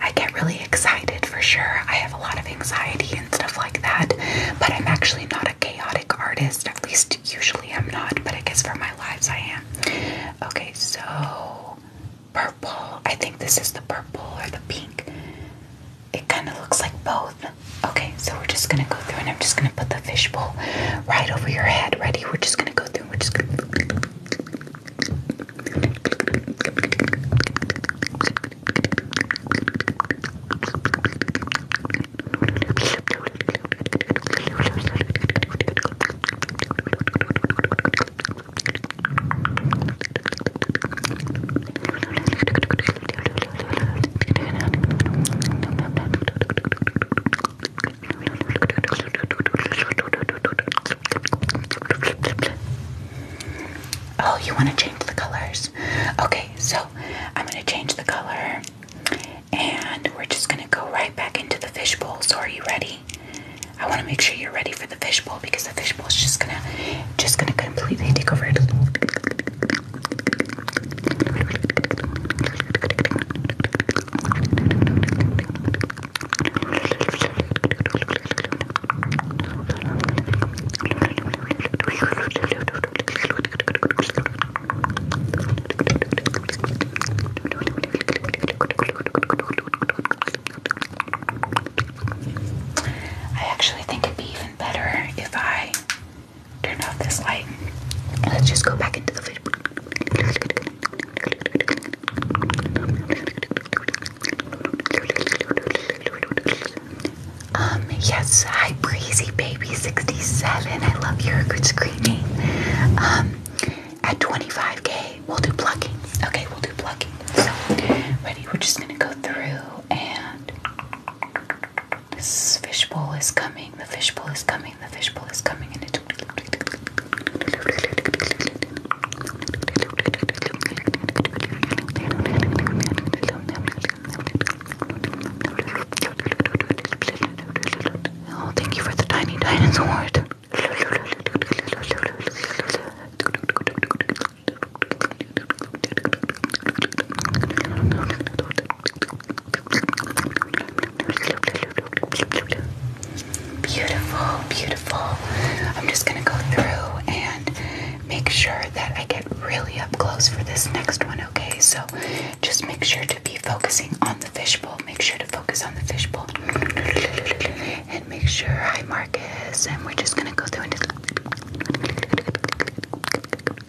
[SPEAKER 1] I get really excited for sure. I have a lot of anxiety and stuff like that, but I'm actually not a chaotic artist. At least usually I'm not, but I guess for my lives I am. Okay, so purple. I think this is the purple or the pink. It kind of looks like both. Okay, so we're just gonna go through and I'm just gonna put the fishbowl right over your head. Ready? We're just gonna go through. We're just gonna. Oh, you want to change the colors? Okay, so I'm going to change the color and we're just going to go right back into the fishbowl. So, are you ready? I want to make sure you're ready for the fishbowl because the fishbowl is just going to just going to completely take over it. I actually think it'd be even better if I Turn off this light. Let's just go back into the video. Um, yes, hi Breezy Baby 67. I love your good screaming. Um, at 25k, we'll do plucking. Okay, we'll do plucking. So, ready? We're just gonna go through and this fishbowl is coming, the fishbowl is coming, the fishbowl is coming, and it. Oh, thank you for the tiny
[SPEAKER 2] dinosaur. Beautiful,
[SPEAKER 1] beautiful. I'm just going to go through and make sure that I get really up close for this next one, okay? So just make sure to be focusing on the fishbowl. Make sure to focus on the fishbowl. And make sure, hi Marcus. And we're just going to go through and just.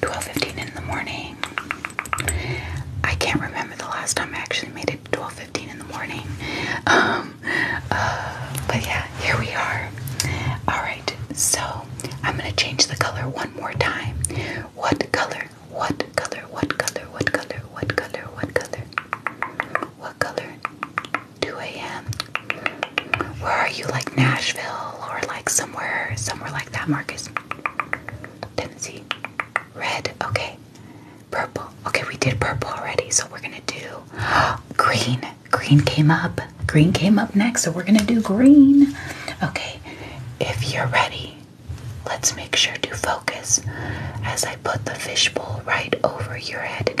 [SPEAKER 1] 12:15 in the morning. I can't remember the last time I actually made it 12:15 in the morning. Um, uh, but yeah, here we are. All right, so I'm gonna change the color one more time. What color? What color? What color? What color? What color? What color? What color? 2 a.m. Where are you? Like Nashville or like somewhere, somewhere like that, Marcus? Tennessee. Red. Okay. Purple. Okay, we did purple already, so we're gonna do green. Green came up. Green came up next, so we're gonna do green. Okay, if you're ready, let's make sure to focus as I put the fishbowl right over your head.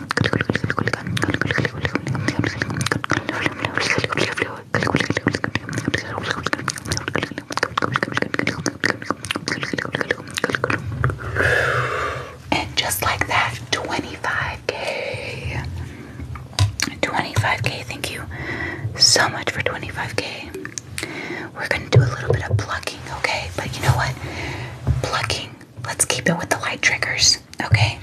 [SPEAKER 1] And just like that, 25k. 25k, thank you so much for 25k. We're gonna do a little bit of plucking, okay? But you know what? Plucking Let's keep it with the light triggers, okay?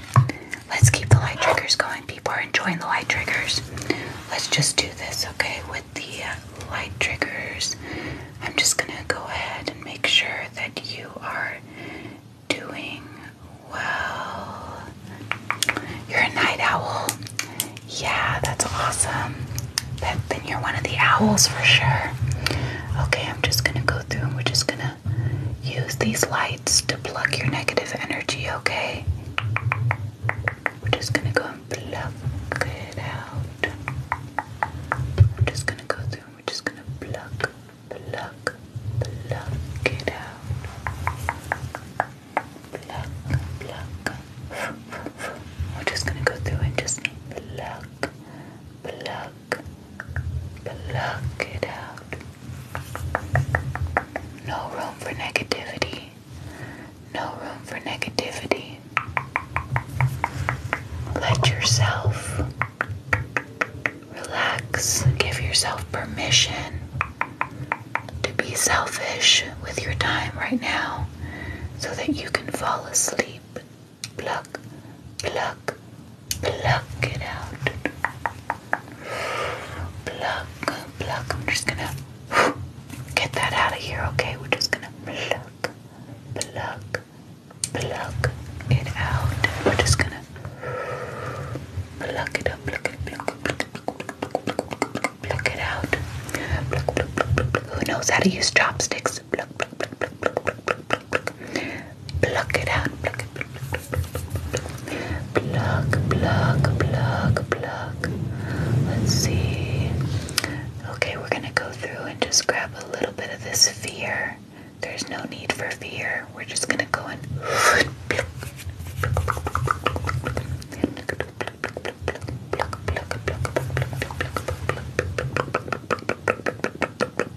[SPEAKER 1] Let's keep the light triggers going. People are enjoying the light triggers. Let's just do this, okay? With the uh, light triggers, I'm just gonna go ahead and make sure that you are doing well. You're a night owl. Yeah, that's awesome. That, then you're one of the owls for sure. Okay, I'm just gonna go through and we're just gonna use these lights to pluck your negative energy, okay? We're just gonna go and pluck it out. We're just gonna go through and we're just gonna pluck, pluck, pluck it out. Pluck, pluck. We're just gonna go through and just pluck, pluck, Pluck it out. No room for negativity. No room for negativity. Let yourself relax. Give yourself permission to be selfish with your time right now so that you can fall asleep. Pluck, pluck, pluck it out. Pluck, pluck. I'm just gonna get that out of here, okay? We're just gonna pluck, pluck, pluck it out. We're just gonna pluck it up, pluck it, pluck it, pluck it, pluck it out. Pluck, pluck, pluck, pluck. Who knows how to use
[SPEAKER 2] chopsticks? pluck it out. Pluck it.
[SPEAKER 1] Pluck, pluck, Let's see. Okay, we're gonna go through and just grab a little bit of this fear. There's no need for fear. We're just gonna go and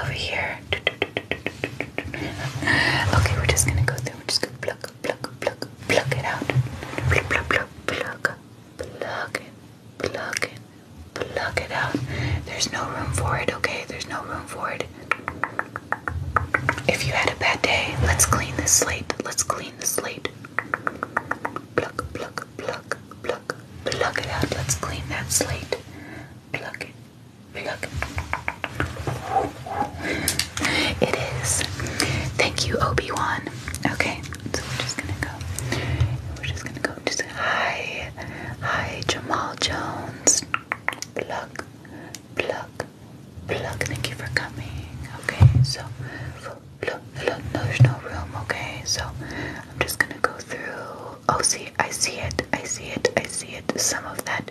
[SPEAKER 1] over here. Okay, we're just gonna go through. We're just gonna pluck, pluck, pluck, pluck it out. Pluck, pluck, pluck, pluck, pluck it, pluck it, pluck it out. There's no room for it. Okay, there's no room for it. If you had a bad day, let's clean the slate. Let's clean the slate. Pluck, pluck, pluck, pluck, pluck it out. Let's clean that slate. Pluck it, it is. Thank you, Obi-Wan. Okay, so we're just gonna go. We're just gonna go. Just hi, hi, Jamal Jones. Look, pluck, pluck. Thank you for coming. Okay, so look, look, there's no room. Okay, so I'm just gonna go through. Oh, see, I see it. I see it. I see it. Some of that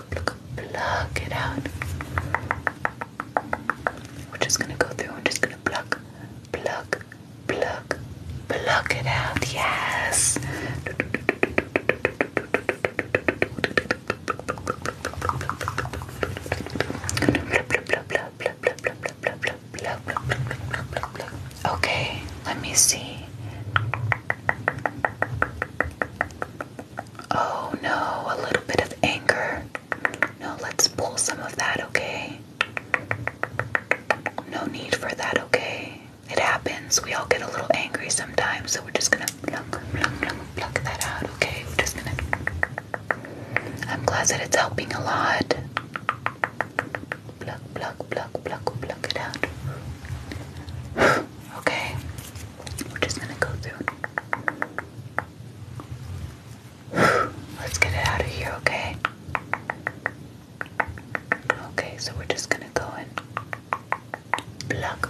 [SPEAKER 1] pluck, it out. We're just gonna go through and just gonna pluck, pluck, pluck, pluck it out. Yes. Okay, let me see. Oh no, a little bit of anger. No, let's pull some of that, okay? No need for that, okay? It happens. We all get a little angry sometimes, so we're just gonna pluck, pluck, pluck, pluck that out, okay? We're just gonna. I'm glad that it's helping a lot. Pluck, pluck, pluck, pluck, pluck it out. Okay, we're just gonna go through. Let's get it out of here, okay? Okay, so we're just gonna go in. Pluck,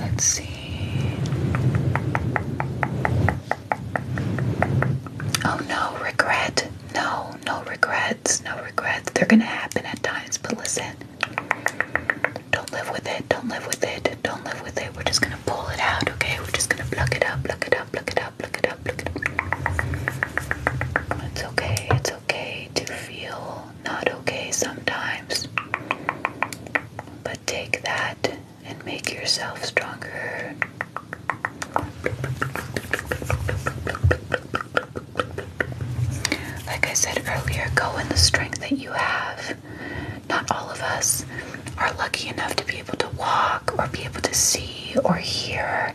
[SPEAKER 2] Let's see.
[SPEAKER 1] Oh no, regret. No, no regret regrets, no regrets. They're gonna happen at times, but listen, don't live with it, don't live with it, don't live with it. We're just gonna pull it out, okay? We're just gonna pluck it up, pluck it up, pluck it up, pluck it up, pluck it up. It's okay, it's okay to feel not okay sometimes. But take that and make yourself
[SPEAKER 2] stronger. Pluck, pluck, pluck, pluck, pluck, pluck, pluck,
[SPEAKER 1] pluck, pluck, pluck, like I said earlier, go in the strength that you have. Not all of us are lucky enough to be able to walk or be able to see or hear,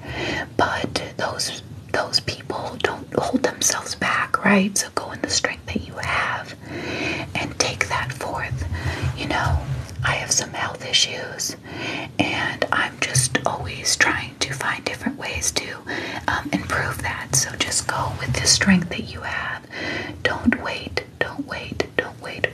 [SPEAKER 1] but those those people don't hold themselves back, right? So go in the strength that you have and take that forth. You know, I have some health issues. And I'm just always trying to find different ways to improve that. So just go with the strength that you have. Don't wait, don't wait, don't wait.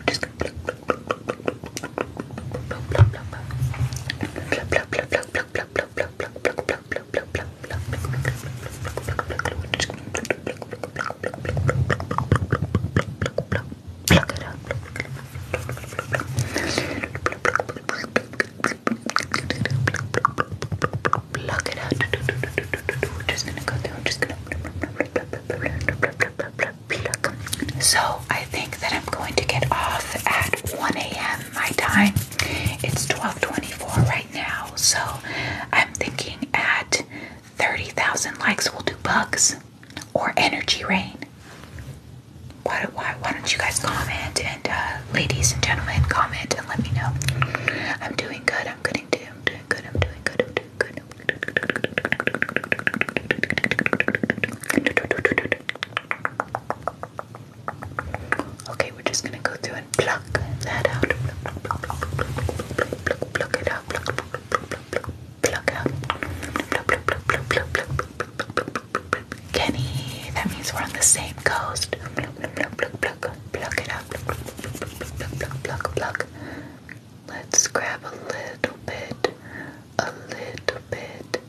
[SPEAKER 1] So I think that I'm going to get off at 1 a.m. my time. It's 12:24 right now, so I'm thinking at 30,000 likes we'll do bugs or energy rain. Why, don't you guys comment and ladies and gentlemen comment and let me know. I'm doing good. I'm doing good. I'm doing good. I'm doing good. Okay, we're just gonna go through and pluck that out. Pluck it out. Pluck out. out. Pluck pluck pluck pluck Kenny, that means we're on the same
[SPEAKER 2] coast. Pluck it up. Let's grab a little bit, a little bit,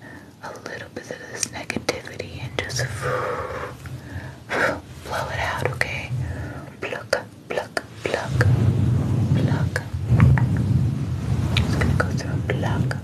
[SPEAKER 2] a little bit of this negativity and just blow it out, okay? Pluck,
[SPEAKER 1] pluck, pluck, pluck. Just gonna go through pluck.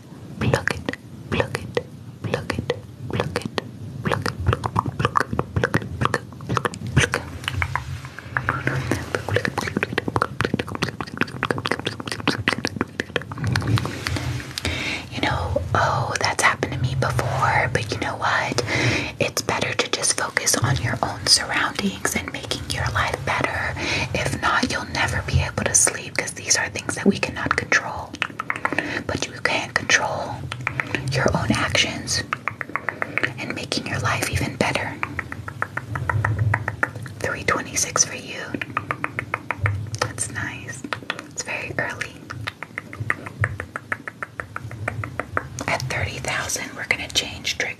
[SPEAKER 1] it, pluck it, pluck it, pluck it, pluck it, pluck it, pluck it, pluck it, pluck it, pluck it, pluck it. You know, oh, that's happened to me before, but you know what? It's better to just focus on your own surroundings and making your life better. If not, you'll never be able to sleep because these are things that we cannot control. But you can control your own actions and making your life even better. 326 for you. That's nice. It's very early. At 30,000, we're going to change triggers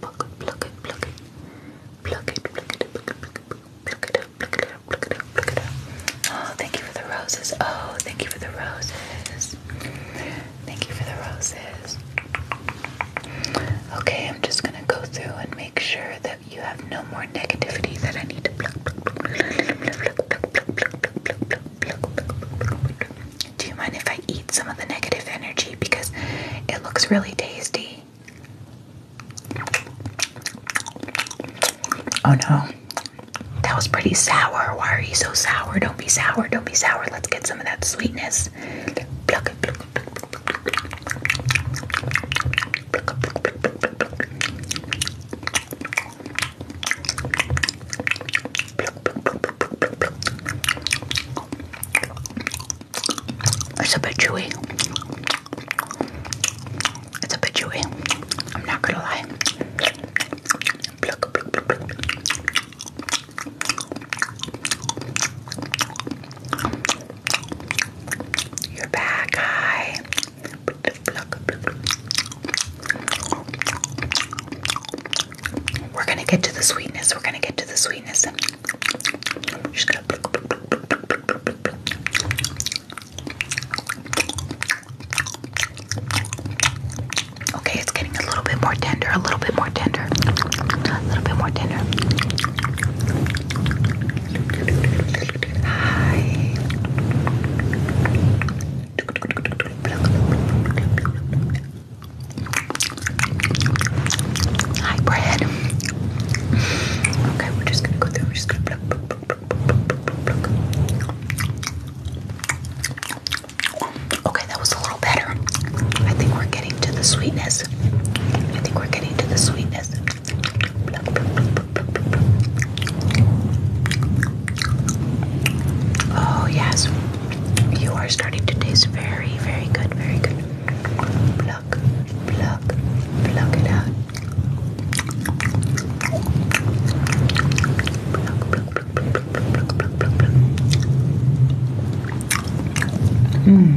[SPEAKER 1] go pluck it, pluck it, pluck it. Pluck it, pluck it, pluck it, pluck it, pluck it up, pluck it up, pluck it up, pluck it up. Oh, thank you for the roses. Oh, thank you for the roses. Thank you for the roses. Okay, I'm just gonna go through and make sure that you have no more negativity that I need to pluck, pluck, pluck, pluck, pluck, pluck, pluck, pluck, pluck, pluck, pluck, pluck, pluck. Do you mind if I eat some of the negative energy? because it looks really tasty. Oh no, that was pretty sour. Why are you so sour? Don't be sour, don't be sour. Let's get some of that sweetness. It's a bit chewy. It's a bit chewy. I'm not gonna lie. You're back, guy. We're gonna get to the sweetness. We're gonna get to the sweetness. Okay, it's getting a little bit more tender, a little bit more tender, a little bit more tender. Hi. Hi, bread. Okay, we're just gonna go through. We're just gonna Okay, that was a little better. I think we're getting to the sweetness. I think we're getting to the sweetness. Oh, yes. You are starting to taste very, very good, very good. Block, block, block it out. Pluck,
[SPEAKER 2] hmm.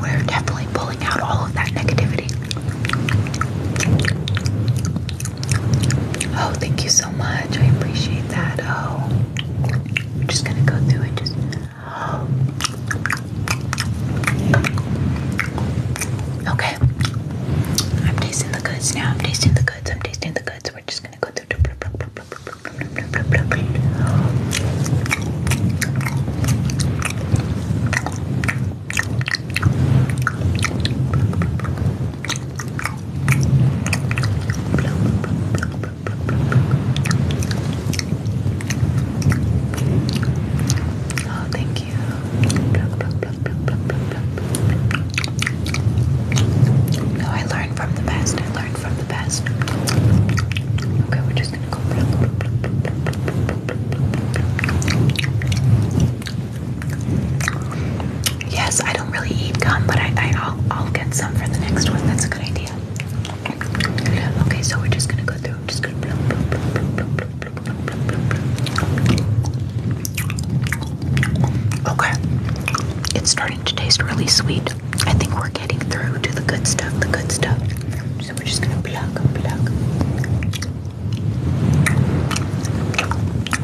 [SPEAKER 2] We're definitely pulling out all of that negativity.
[SPEAKER 1] Oh, thank you so much. I appreciate that. Oh, I'm just gonna go through and just Okay. I'm tasting the goods now. I'm tasting the goods. I'm tasting the goods. We're just gonna go through. Oh, thank you. No, I learned from the best. I learned from the best. Okay, we're just gonna go. Yes, I don't really eat gum, but I, I will I'll get some for the next one. That's a good idea. Okay, so we're just gonna go through. just gonna Okay. It's starting to taste really sweet. I think we're getting through to the good stuff, the good stuff. So we're just gonna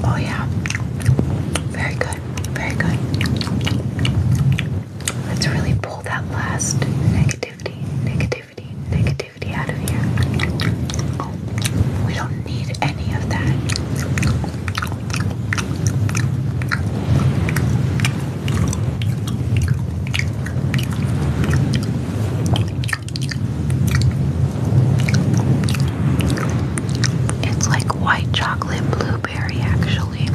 [SPEAKER 1] Oh yeah. Very good. Very good. Let's really pull that last negativity, negativity, negativity out of here. We don't need any of that. It's like white chocolate, blue blueberry actually.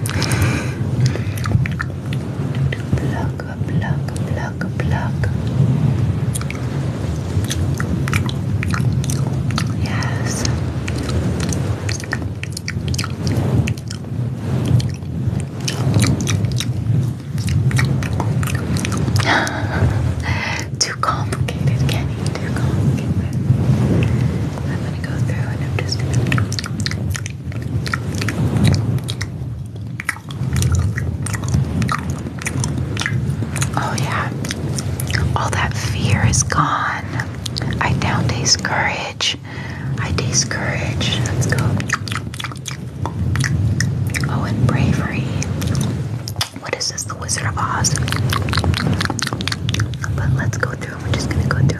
[SPEAKER 1] Yes. Too complicated, Kenny. Too complicated. I'm gonna go through and I'm just Oh, yeah. All that fear is gone. I now taste courage. I taste courage. Let's go. Oh, and bravery. What is this? The Wizard of Oz. But let's go through. We're just going to go through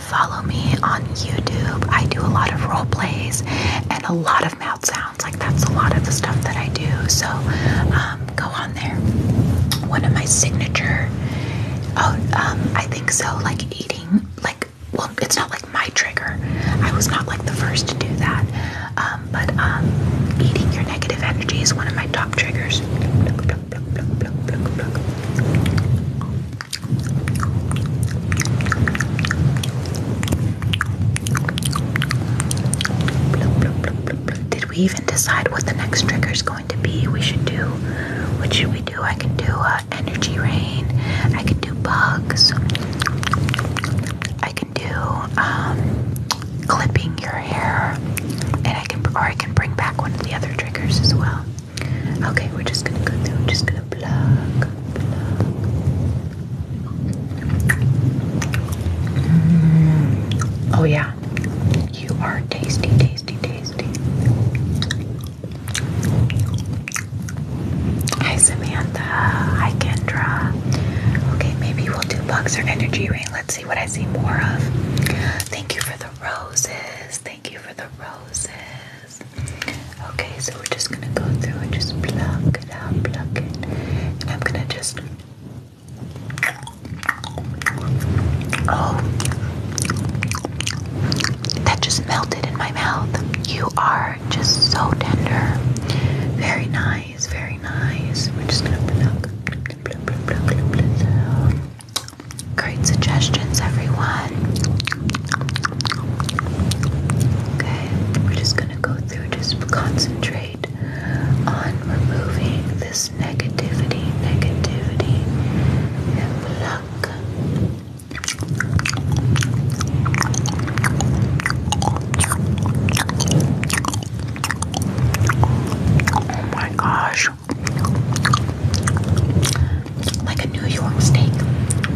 [SPEAKER 1] follow me on YouTube, I do a lot of role plays and a lot of mouth sounds. Like that's a lot of the stuff that I do. So um, go on there. One of my signature. Oh, um, I think so. Like eating. Like well, it's not like my trigger. I was not like the first to do that. Um, but eating your negative energy is one of my top triggers. Did we even decide what the next trigger is going to be? We should do. What should we do? I can do uh, energy rain. I can do bugs. I can do um, clipping your hair, and I can, or I can bring back one of the other triggers as well. Okay, we're just gonna go through, we're just gonna plug, plug. Mm. Oh yeah, you are tasty, tasty, tasty. Hi Samantha, hi Kendra. Okay, maybe we'll do bugs or energy ring. Let's see what I see more of. Thank you for the roses. Thank you for the roses. Okay, so we're just gonna go through and just pluck it out, pluck it. And I'm gonna just. Oh. That just melted in my mouth. You are just so tender. Very nice, very nice. We're just gonna pluck. Pluck, pluck, pluck, pluck, pluck. Great suggestions, everyone. Okay, we're just gonna go through, just concentrate on removing this negativity, negativity, and pluck. Oh my gosh like a New York steak.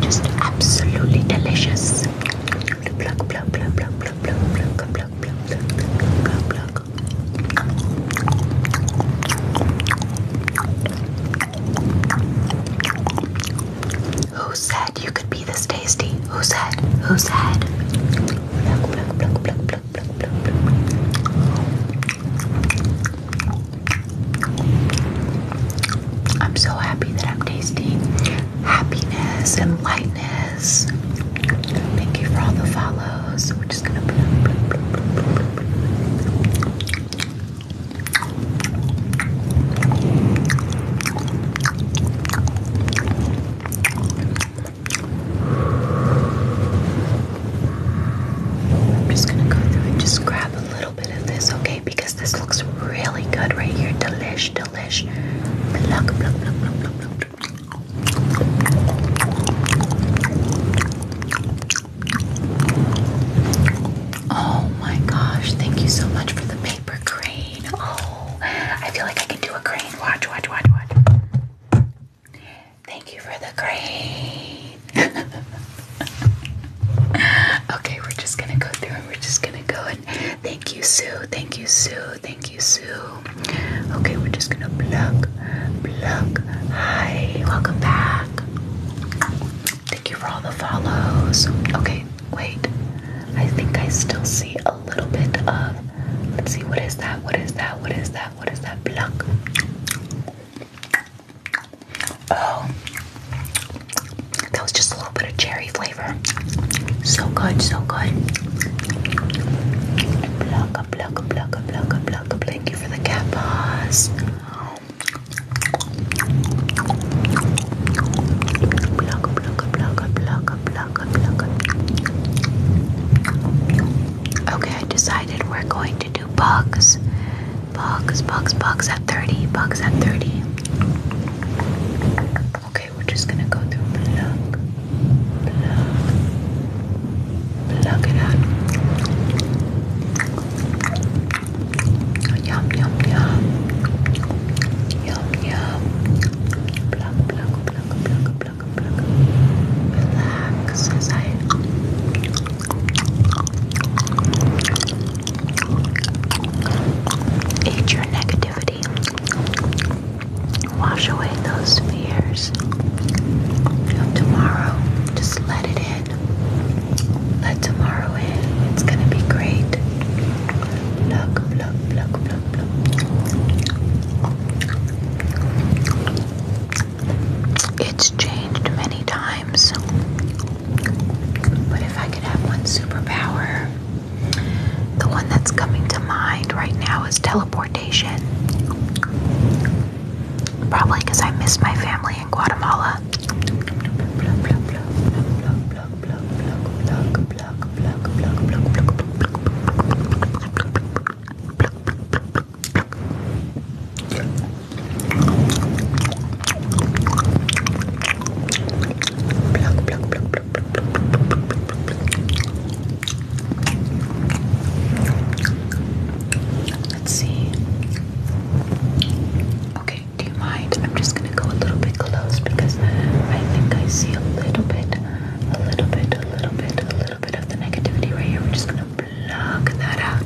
[SPEAKER 1] Just absolutely delicious. Pluck, pluck, pluck, pluck, pluck, pluck, Who said you could be this tasty? Who said? Who said? I'm so happy that I'm tasting happiness and lightness. Thank you for all the follows. We're just gonna. I'm just gonna go through and just grab a little okay? Because this looks really good right here. Delish, delish. Oh my gosh, thank you so much for the paper crane. Oh, I feel like I can do a crane. Watch, watch, watch, watch. Thank you for the crane. okay, we're just gonna go through and we're just gonna go and thank you, Sue. Thank you, Sue. Thank you, Sue. Okay, we're just gonna pluck, pluck. Hi, welcome back. Thank you for all the follows. Okay, wait. I think I still see a little bit of. Let's see, what is that? What is that? What is that? What is that? Pluck. Oh, that was just a little bit of cherry flavor. So good, so good. Blocka, blocka, blocka, blocka, blocka. Thank you for the cat paws. Blocka, blocka, blocka, blocka, blocka, blocka. Okay, I decided we're going to do bugs Bugs, bugs, bugs at 30, bugs at 30. Okay, we're just gonna go through plug, plug, it out.
[SPEAKER 2] Yum, yum, yum. Yum, yum. Plug, plug, plug, plug, plug, plug. Relax as I
[SPEAKER 1] Eat your negativity. Wash away those fears of tomorrow. Just let it in. Let tomorrow in. It's gonna be great. Look, look, look, look, look. It's changed many times. But if I could have one superpower, the one that's coming to mind right now is teleportation. Probably because I miss my family in Guatemala. Let's see. Okay, do you mind? I'm just gonna go a little bit close because I think I see a little bit, a little bit, a little bit, a little bit of the negativity right here. We're just gonna block that out.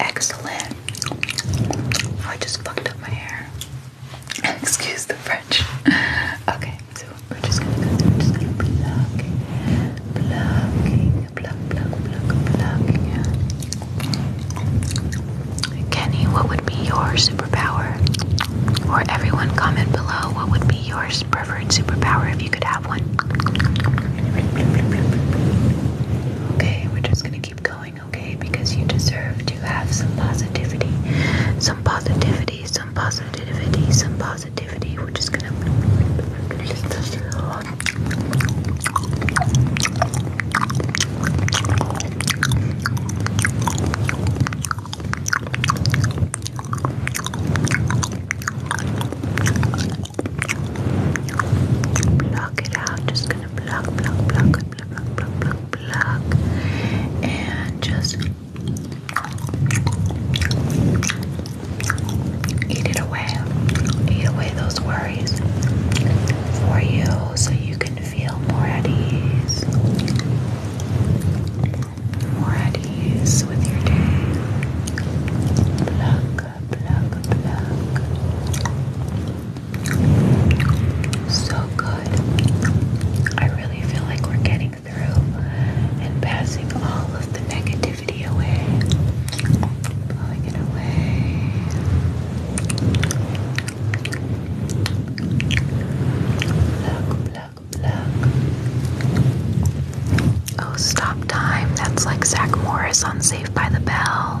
[SPEAKER 1] Excellent. I just fucked up my hair. Excuse the French. Okay, so we're just gonna go through, just gonna pluck, plucking, Kenny, what would be your superpower? Or everyone comment below what would be your preferred superpower if you could have have one. Okay, we're just gonna keep going, okay? Because you deserve to have some positivity. Some positivity, some positivity, some positivity. We're just gonna. Block it out. Just gonna block, block, block, block, block, block, block, block. And just eat it away. Eat away those worries for you so you can feel more at ease. More at ease with your day. Pluck, so good. I really feel like we're getting through and passing all of the negativity away, blowing it away. Oh, stop time. That's like Zach Morris on Saved by the Bell.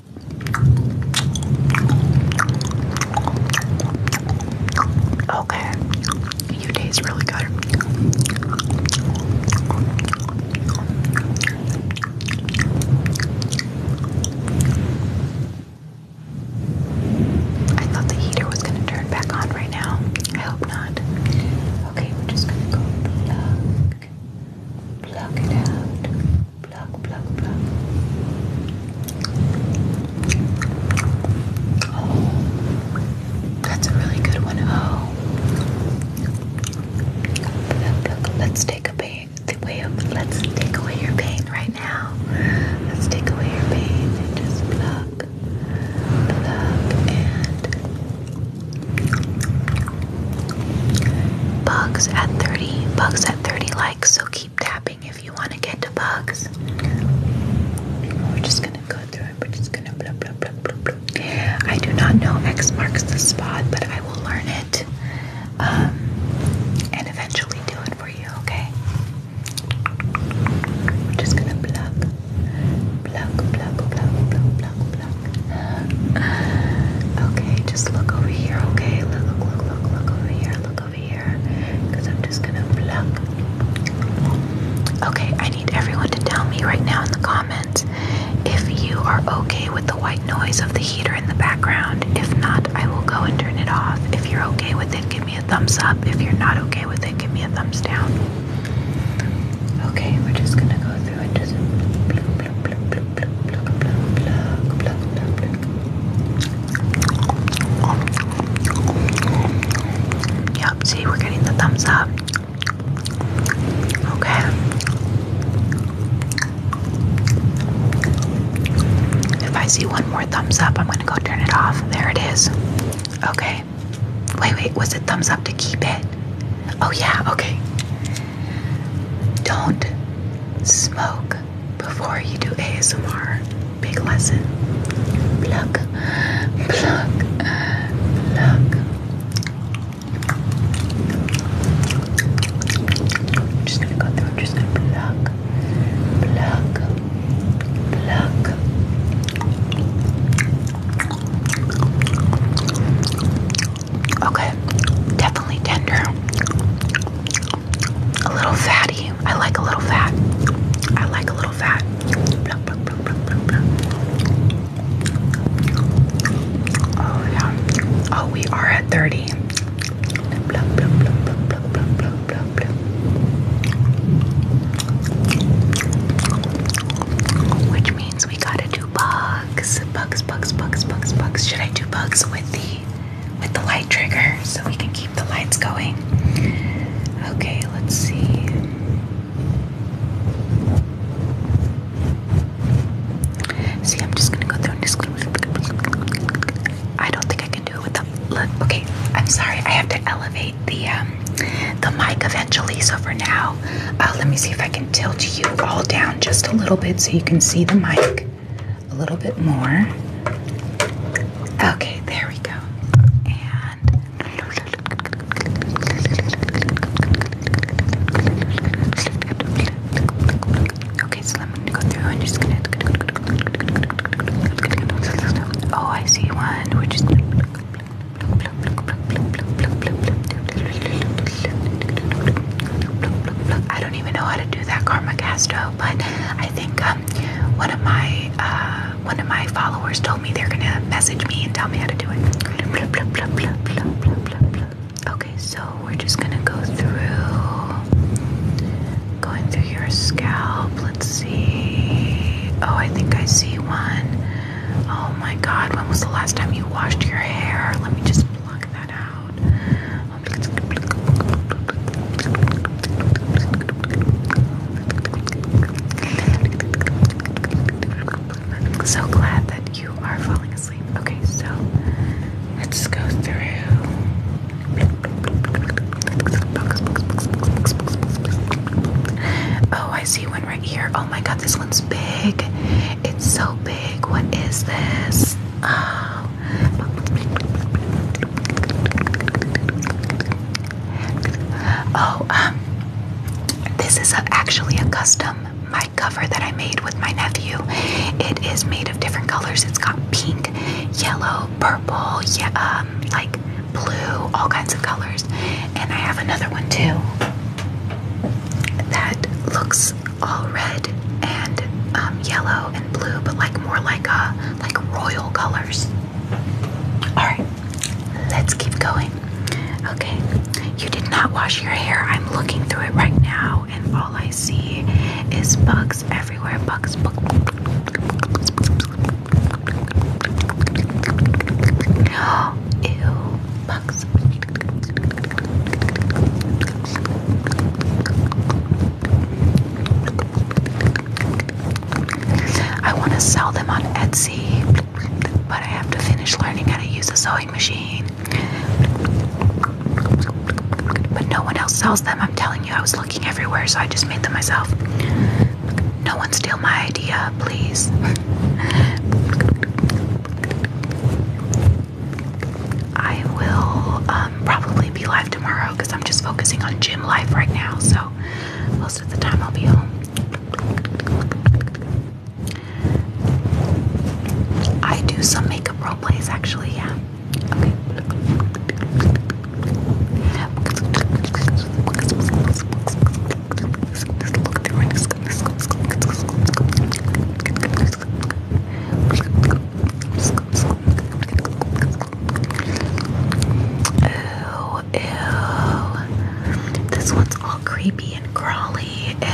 [SPEAKER 1] Okay, you taste really good. I thought the heater was going to turn back on right now. I hope not. Okay, we're just going to go plug, plug it out. Block, block, block. Oh, that's a really good one. Oh. Let's take a The way let's take away your pain right now. Let's take away your pain and just pluck, pluck, and. Bugs at 30. Bugs at 30 likes, so keep tapping if you want to get to bugs. We're just gonna go through it. We're just gonna blah blah blah blah blah. I do not know X marks the spot, but I will learn it. Um, and eventually do it for you, okay? We're just gonna plug. Plug, plug, plug, plug, plug, plug, okay, just look over here, okay? Look, look, look, look, look over here, look over here. Because I'm just gonna pluck. Okay, I need everyone to tell me right now in the comments if you are okay with the white noise of the heater in the background. If not, I will go and turn it off. If you're okay with it, give me a thumbs up. If you're not okay with it, give me a thumbs down. Okay, we're just gonna go through and Yep, see, we're getting the thumbs up. Okay. If I see one more thumbs up, I'm going to go turn it off. There it is. Okay. Wait, wait, was it thumbs up to keep it? Oh, yeah, okay. Don't smoke before you do ASMR. Big lesson. Pluck, pluck, pluck. I'm just gonna go through. just gonna pluck, pluck, pluck. Okay, definitely tender. A little fatty. I like a little fat. I like a little fat. Oh, yeah. Oh, we are at 30. Which means we gotta bugs? Bugs, bugs, bugs, bugs, bugs. Should I do bugs with the with the light trigger so we can keep the lights going? Okay, let's see. See, I'm just gonna go through and just. I don't think I can do it with the Okay, I'm sorry. I have to elevate the um, the mic eventually. So for now, uh, let me see if I can tilt you all down just a little bit so you can see the mic a little bit more. Okay, there we go. okay, so let me go through and just gonna. Oh, I see one, which is. I don't even know how to do that Karma Castro, but I think um, one of my uh, one of my followers told me they're gonna message me and tell me how to do it. Okay, so we're just gonna go through going through your scalp. Let's see. Oh, I think I see one. Oh my god, when was the last time you washed your hair? Let me just pluck that out. So glad that you are falling asleep. Okay, so let's go through. Oh, I see one right here. Oh my god, this one's big. It's so big. What is this? Oh, oh um, this is actually a custom mic cover that I made with my nephew. It is made of different colors. It's got pink, yellow, purple, yeah, um, like blue, all kinds of colors. And I have another one too that looks all red and yellow and blue, but like more like a like royal colors. All right, let's keep going. Okay, you did not wash your hair. I'm looking through it right now, and all I see is bugs everywhere. Bugs, bugs. Ew, bugs. I want to sell them on Etsy, but I have to finish learning how to use a sewing machine. But no one else sells them. I'm telling you, I was looking everywhere, so I just made them myself. No one steal my idea, please. I will um, probably be live tomorrow because I'm just focusing on gym life right now. So most of the time I'll be home. I do some makeup role plays actually, yeah ew. This one's all creepy and crawly. Ew.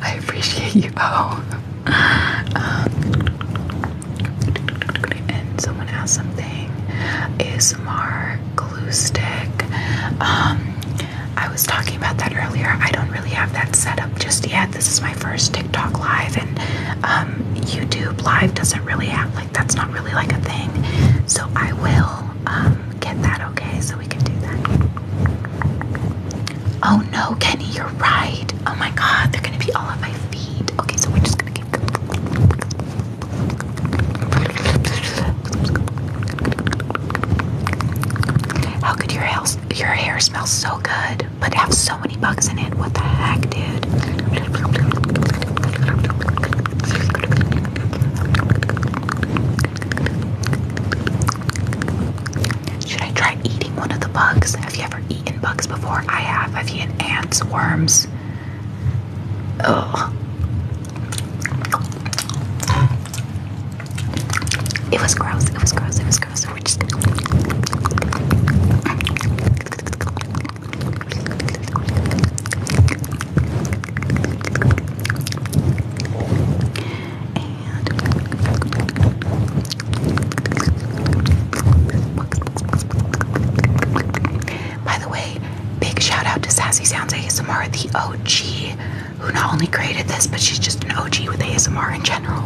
[SPEAKER 1] I appreciate you. Oh. and someone asked something. ASMR glue stick. Um, I was talking about that earlier. I don't really have that set up just yet. This is my first TikTok live, and um, YouTube live doesn't really have like that's not really like a thing. So I will um, get that okay, so we can do that. Oh no, Kenny, you're right. Oh my God, they're gonna be all at my feet. Okay, so we're just gonna keep. How could your hair, your hair smell so good but have so many bugs in it? What the heck, dude? Should I try eating one of the bugs? Have you ever eaten bugs before? I have. I've eaten ants, worms. Ugh. It was gross. It was gross. It was gross. So we just by the way, big shout out to Sassy Sounds ASMR, the OG who not only created this, but she's just an OG with ASMR in general.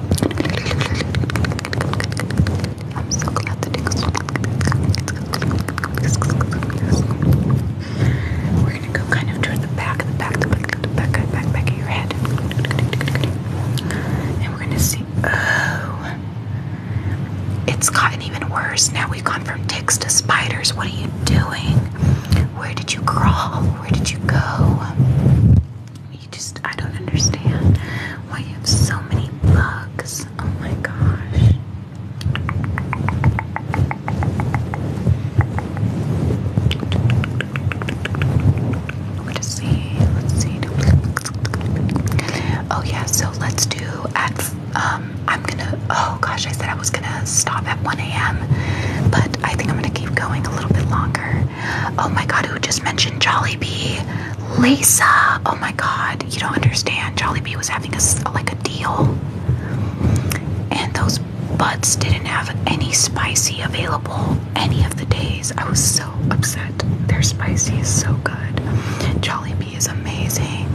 [SPEAKER 1] We're gonna go kind of toward the back, the back, the back, the back, back, back, back of your head, and we're gonna see. Oh, it's gotten even worse. Now we've gone from ticks to spiders. What are you doing? Where did you crawl? Where did you go? You just, I don't understand why you have so many bugs. Oh my gosh. Let's see. Let's see. Oh yeah. So let's do at. Um, I'm gonna. Oh gosh, I said I was was gonna stop at 1 a.m., but I think I'm gonna keep going a little bit longer. Oh my god, who just mentioned Jollibee? Lisa! Oh my god, you don't understand. Jollibee was having a, like a deal, and those butts didn't have any spicy available any of the days. I was so upset. Their spicy is so good. Jollibee is amazing.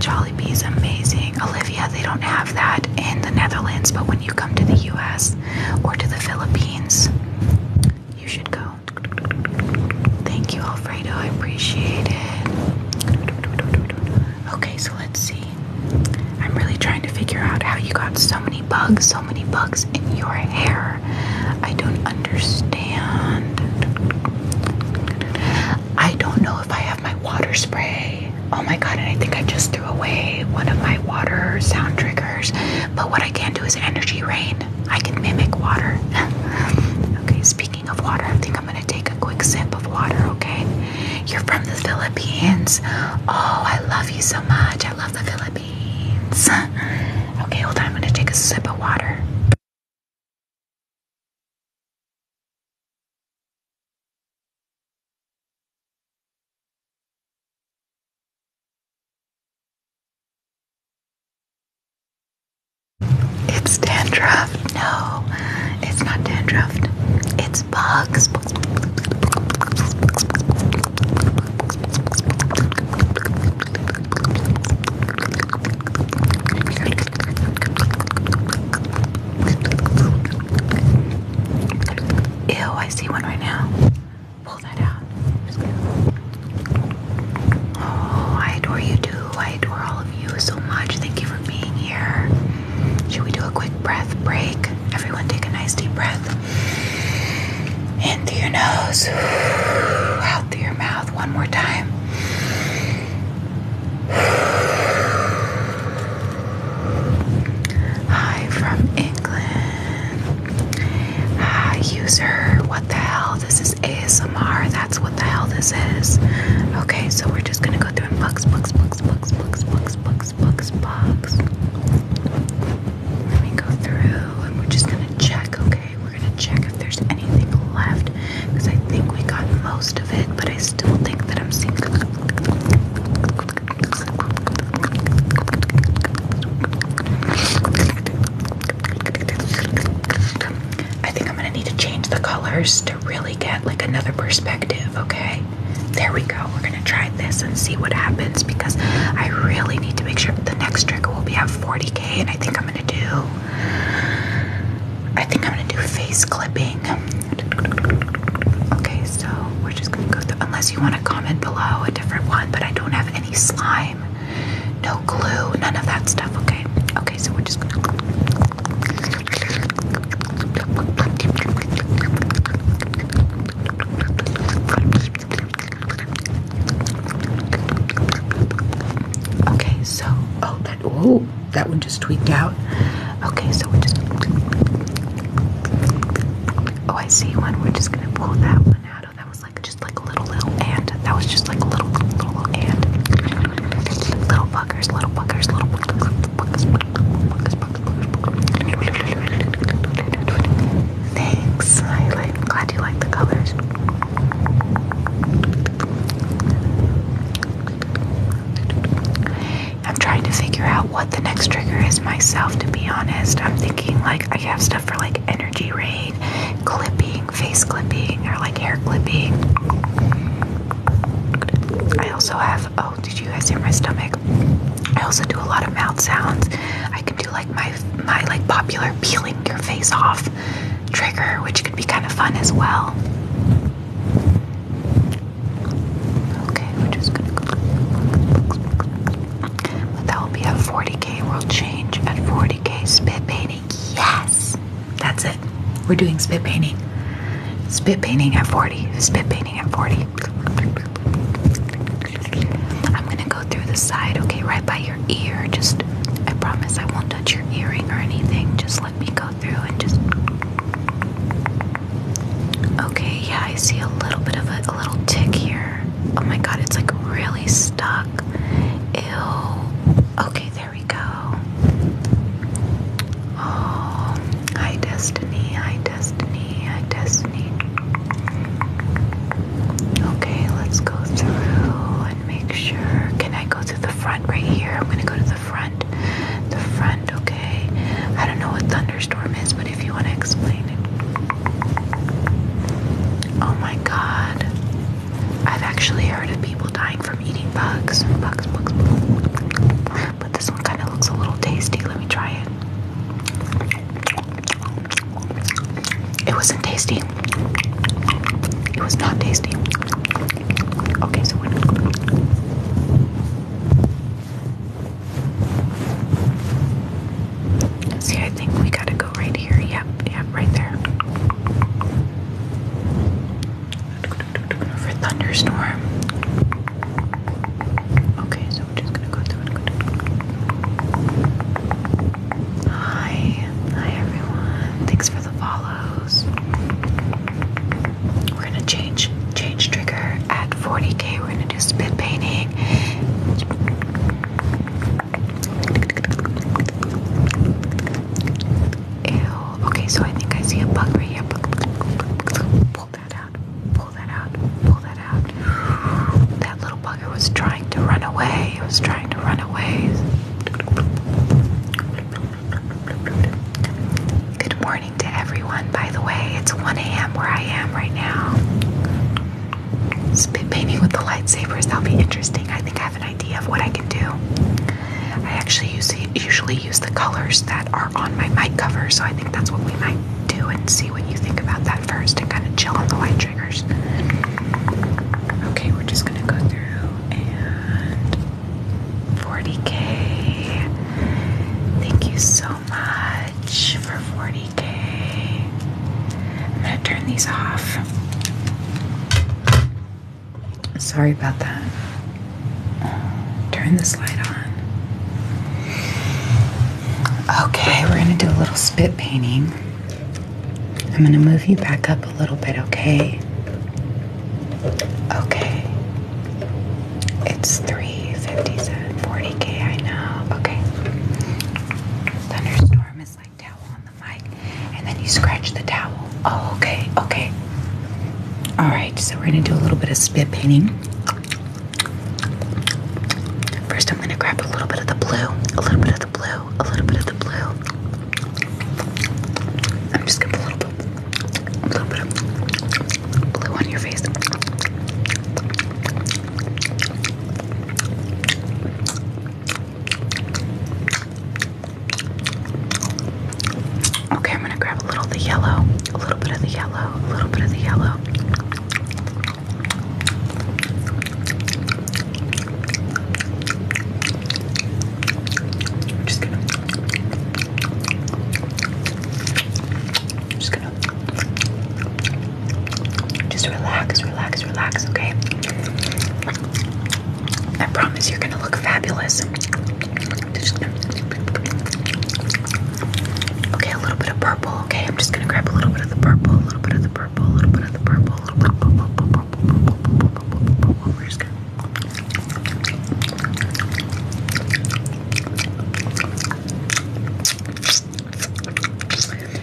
[SPEAKER 1] Jolly Jollibee is amazing. Olivia, they don't have that in the Netherlands, but when you come to the US or to the Philippines, you should go. Thank you, Alfredo. I appreciate it. Okay, so let's see. I'm really trying to figure out how you got so many bugs, so many bugs in your hair. I don't understand. I don't know if I have my water spray. Oh my god, and I think I just threw away one of my water sound triggers. But what I can do is energy rain. I can mimic water. okay, speaking of water, I think I'm gonna take a quick sip of water, okay? You're from the Philippines. Oh, I love you so much. I love the Philippines.
[SPEAKER 2] okay, hold on, I'm gonna take a sip of water. It's dandruff. No, it's not dandruff.
[SPEAKER 1] It's bugs. Ew, I see one right now. Pull that out. Oh, I adore you too. I adore all of you so much. Thank you for being here. Should we do a quick breath break? Everyone, take a nice deep breath. In through your nose, out through your mouth. One more time. Hi from England. Hi, user. What the hell? This is ASMR. That's what the hell this is. Okay, so we're just gonna go through books, books, books, books, books, books, books, books, Let me go through and we're just gonna check, okay? We're gonna check if there's anything left because I think we got most of it, but I still think that I'm seeing I think I'm gonna need to change the colors to really get like another perspective, okay? There we go. We're gonna try this and see what happens because I really need to make sure the next trigger will be at 40k and I think I'm gonna do I think I'm gonna do face clipping Okay, so we're just gonna go through, unless you want to comment below a different one, but I don't have any slime, no glue, none of that stuff, okay? Okay, so we're just gonna. Okay, so, oh, that, oh, that one just tweaked out. Okay, so we're just. Oh, I see one. We're just gonna pull that one out. Oh, that was like just like a little little and. That was just like a little little and. Little buggers, little buggers, little buggers, buggers, buggers. Thanks. I like. Glad you like the colors. I'm trying to figure out what the next trigger is myself, to be honest. I'm thinking like I have stuff for like energy rain, clipping, face clipping, or like hair clipping. I also have, oh, did you guys hear my stomach? I also do a lot of mouth sounds. I can do like my my like popular peeling your face off trigger, which could be kind of fun as well. Okay, we're just gonna go. But that will be a 40k world change at 40k spit painting. Yes! That's it. We're doing spit painting. Spit painting at 40. Spit painting at 40. I'm gonna go through the side, okay, right by your ear. Just I promise I won't touch your earring or anything. Just let me go through and just Okay, yeah, I see a little bit of a, a little tick here. Oh my god, it's like really stuck. Ew. Okay, there we go. Oh, hi, Destiny. Hi, Destiny. Hi, Destiny. Okay, let's go through and make sure. Can I go to the front right here? I'm gonna go to the front. The front, okay. I don't know what thunderstorm is, but if you want to explain it. Oh my god. I've actually heard of people dying from eating bugs. Bugs, bugs, bugs. But this one kind of looks a little tasty. Let me try it. It wasn't tasty. It was not tasty. Okay, so what? See, I think we gotta go right here. Yep, yep, right there. For thunderstorm. Okay, so we're just gonna go through Hi, hi everyone. Thanks for the follows. We're gonna change change trigger at 40k. We're gonna do spit painting. Ew. Okay, so I think I see a bug right here. Pull that out. Pull that out. Pull that out. That little bugger was trying to run away. It was trying to run away. Good morning to everyone, by the way. It's 1 a.m. where I am right now. Spit baby with the lightsabers, that'll be interesting. I think I have an idea of what I can do. I actually usually use the colors that are on my mic cover, so I think that's what we might do and see what you think about that first and kind of chill on the white triggers. Okay, we're just gonna go through and 40k. Thank you so much for 40k. I'm gonna turn these off. Sorry about that. Turn this light on. Okay, we're gonna do a little spit painting. I'm gonna move you back up a little bit, okay? Okay. It's 357, 40k, I know. Okay. Thunderstorm is like towel on the mic. And then you scratch the towel. Oh, okay, okay. Alright, so we're gonna do a little bit of spit painting. First, I'm gonna grab a little bit of the blue, a little bit of the blue, a little bit of the blue. I'm just gonna put a little bit, a little bit blue on your face. Okay, I'm gonna grab a little of the yellow, a little bit of the yellow, a little bit of the yellow. I'm just gonna, I'm just gonna just relax, relax, relax, okay? I promise you're gonna look fabulous. Okay, a little bit of purple, okay? I'm just gonna grab a little bit of the purple, a little bit of the purple, a little bit of the purple, a little bit of the purple, purple, purple,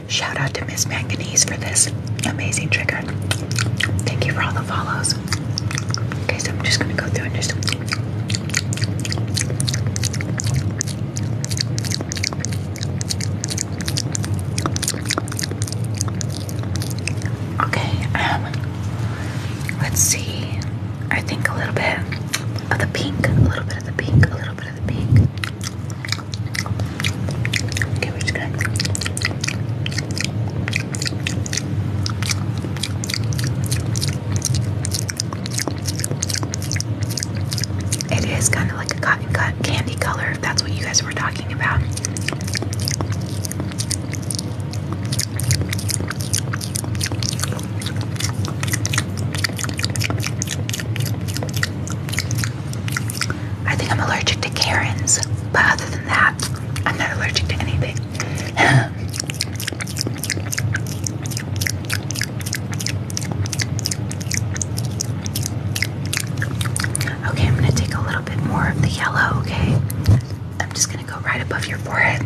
[SPEAKER 1] Shout out to Miss Manganese for this amazing trigger. Thank you for all the follows. Okay, so I'm just gonna go through and just Okay, um, let's see. I think a little bit of the pink, a little bit of the pink, a little bit of the pink. Okay, we're just gonna it is kind of like a cotton cut candy color, if that's what you guys were talking about. I think I'm allergic to Karens, but other than that, I'm not allergic to anything. okay, I'm gonna take a little bit more of the yellow, okay? I'm just gonna go right above your forehead.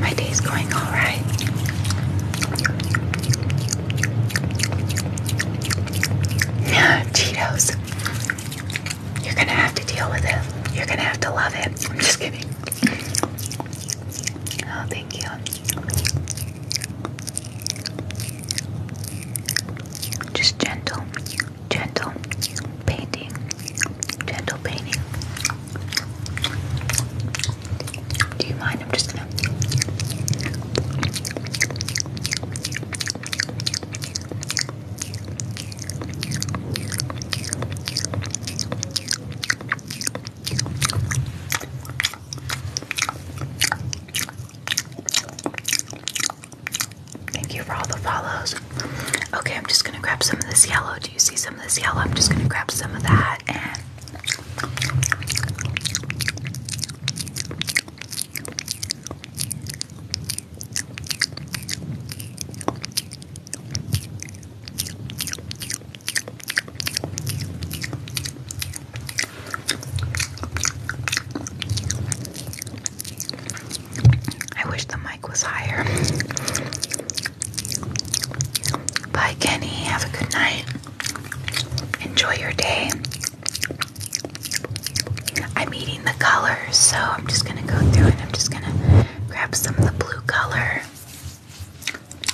[SPEAKER 1] My day's going all right. Cheetos. You're gonna have to deal with it. You're gonna have to love it. I'm just kidding. Oh, thank you. Just gentle, gentle painting, gentle painting. Do you mind? I'm just gonna. Thank you for all the follows. Okay, I'm just gonna grab some of this yellow. Do you see some of this yellow? I'm just gonna grab some of that and I wish the mic was higher. Bye, Kenny. Have a good night. Enjoy your day. I'm eating the colors, so I'm just gonna go through and I'm just gonna grab some of the blue color.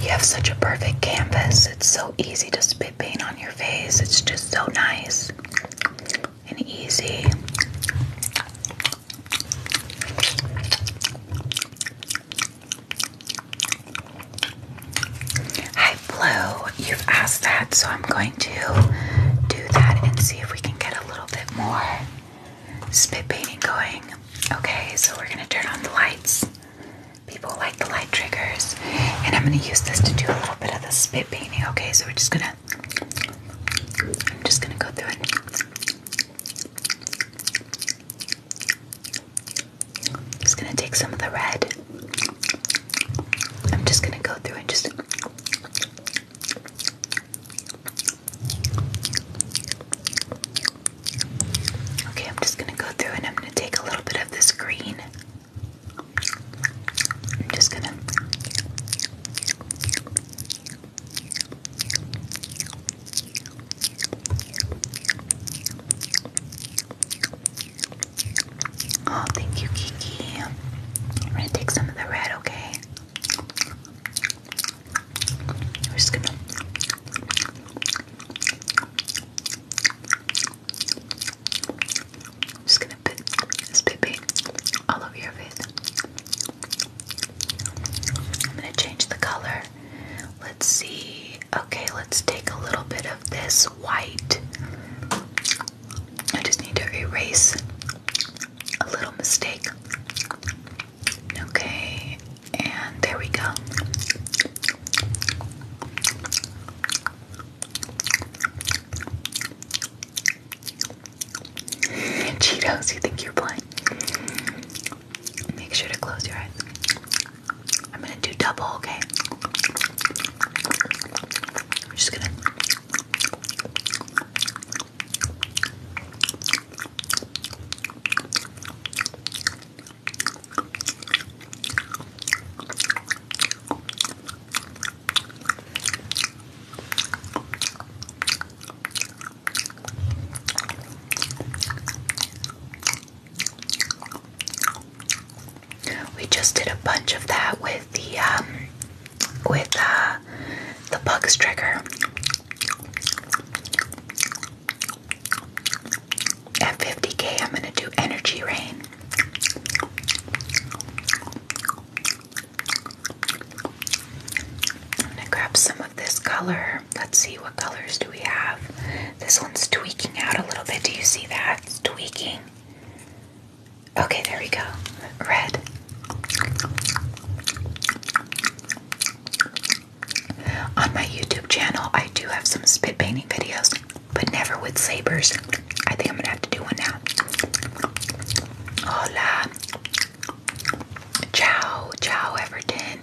[SPEAKER 1] You have such a perfect canvas. It's so easy to spit paint on your face. It's just so nice and easy. Hi, Blue. You've asked that, so I'm going to do that and see if we can get a little bit more spit painting going. Okay, so we're going to turn on the lights. People like the light triggers, and I'm gonna use this to do a little bit of the spit painting. Okay, so we're just gonna, I'm just gonna go through it. I'm just gonna take some of the red. I'm just gonna go through and just. Okay, I'm just gonna go through and I'm gonna take a little bit of this green. I'm just gonna. Oh, thank you, Kiki. I'm gonna take some of the red, okay? We're just gonna. I'm just gonna put this baby all over your face. I'm gonna change the color. Let's see. Okay, let's take a little bit of this white. I just need to erase a little mistake. Okay, and there we go. Cheetos, you think you're blind? Make sure to close your eyes. I'm gonna do double,
[SPEAKER 2] okay? I'm just gonna.
[SPEAKER 1] We just did a bunch of that with the um, with uh the bugs trigger. At 50k, I'm going to do energy rain. I'm going to grab some of this color. Let's see what colors do we have. This one's tweaking out a little bit. Do you see that? It's tweaking. Okay, there we go. Red. On my YouTube channel, I do have some spit painting videos but never with sabers. I think I'm gonna have to do one now. Hola. Ciao, ciao, Everton.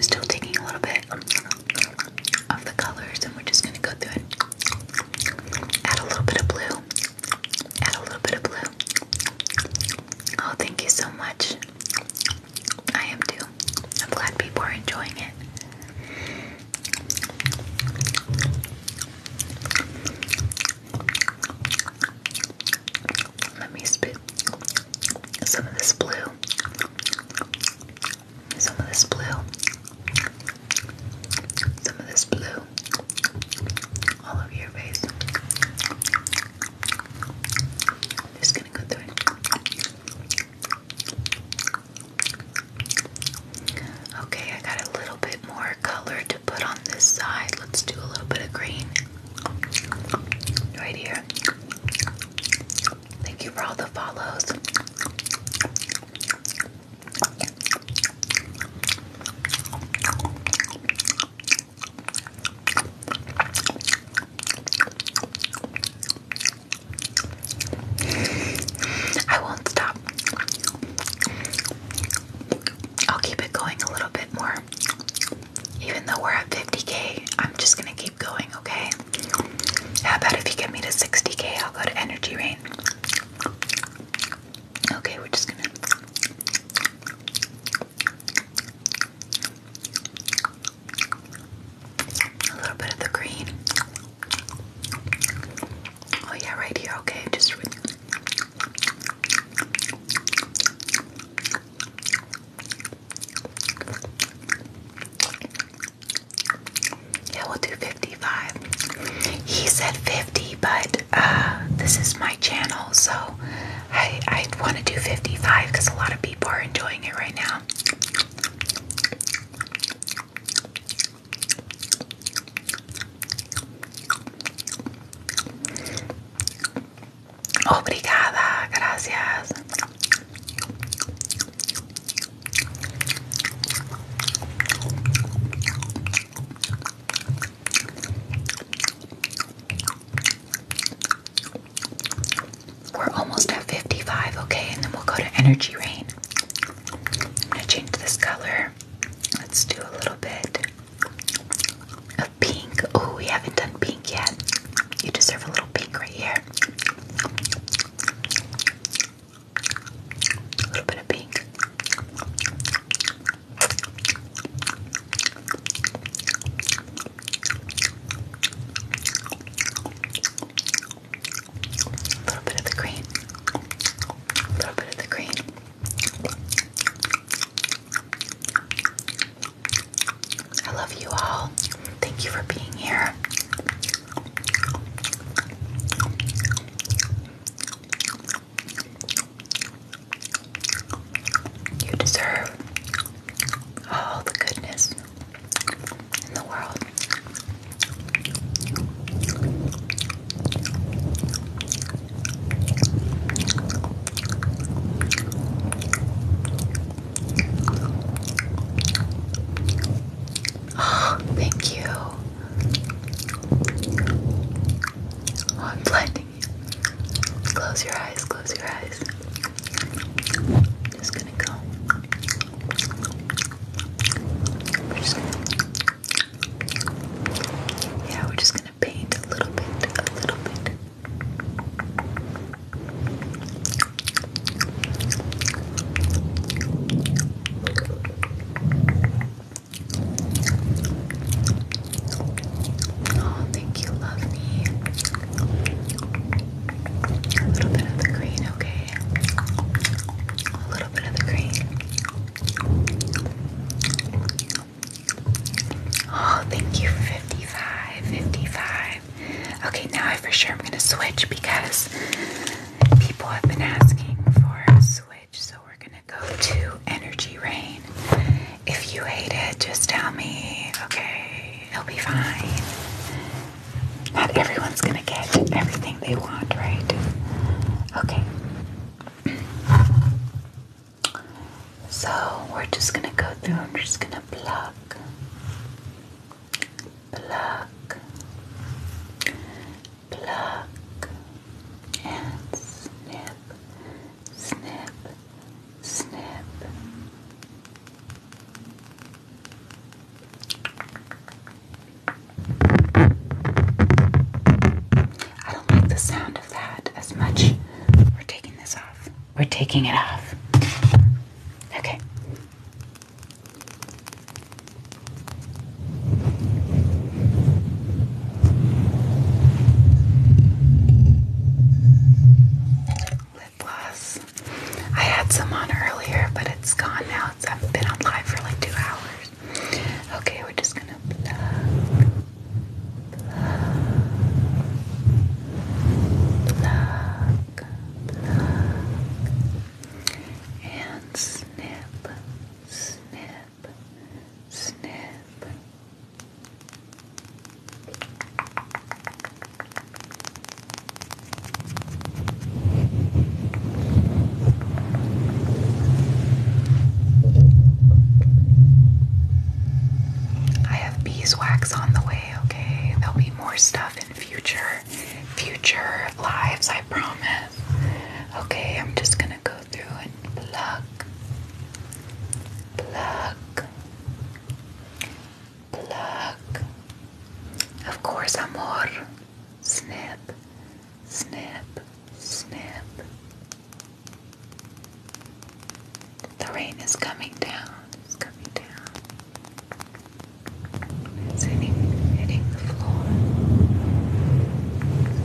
[SPEAKER 1] still taking a little bit of the colors, and we're just gonna go through and add a little bit of blue. Add a little bit of blue. Oh, thank you so much. I am too. I'm glad people are enjoying it. Let me spit some of this blue. Some of this blue. Some of this blue all over your face. just gonna go through it. Okay, I got a little bit more color to put on this side. Let's do a little bit of green right here. Thank you for all the follows. I won't stop. I'll keep it going a little bit more. Even though we're at 50k, I'm just gonna keep going, okay? How about if you get me to 60k, I'll go to energy rain. Okay, we're just gonna. A little bit of the green. Oh, yeah, right here. Okay, just.
[SPEAKER 2] Yeah, we'll do 50 he said 50, but uh, this is my channel, so I, I want to do 55
[SPEAKER 1] because a lot of people are enjoying it right now. gracias. We're almost at 55, okay, and then we'll go to energy rain. I'm gonna change this color. Let's do a little bit of pink. Oh, we haven't done pink yet. You deserve a little pink right here. A little bit of pink. A little bit of the green. A little bit of the green. I love you all. Thank you for being here. You deserve all the goodness in the world. Oh, thank you. Oh, I'm blinding you. Close your eyes, close your eyes. I'm just gonna go. Yeah, we're just gonna paint a little bit, a little bit. Oh, thank you, love me. A little bit of the green, okay? A little bit of the green. Oh, thank you, 55, 55. Okay, now I for sure I'm gonna switch because people have been asking for a switch, so we're gonna go to Energy Rain. If you hate it, just tell me. Okay, it'll be fine. Not everyone's gonna get everything they want, right? Okay. So we're just gonna go through. I'm just gonna block. Block pluck and snip, snip, snip. I don't like the sound of that as much. We're taking this off. We're taking it off. Okay. Lip gloss. I had some on earlier, but it's gone now. It's, I've been on live for like two hours. Okay, we're just gonna plug, plug, plug, plug, and snip, snip, snip. I have beeswax on the way, okay? There'll be more stuff in future future lives, I promise. Okay, I'm just gonna go through it, pluck, pluck, pluck. Of course, amor. Snip,
[SPEAKER 2] snip, snip.
[SPEAKER 1] The rain is coming down. It's coming down. It's hitting, hitting the floor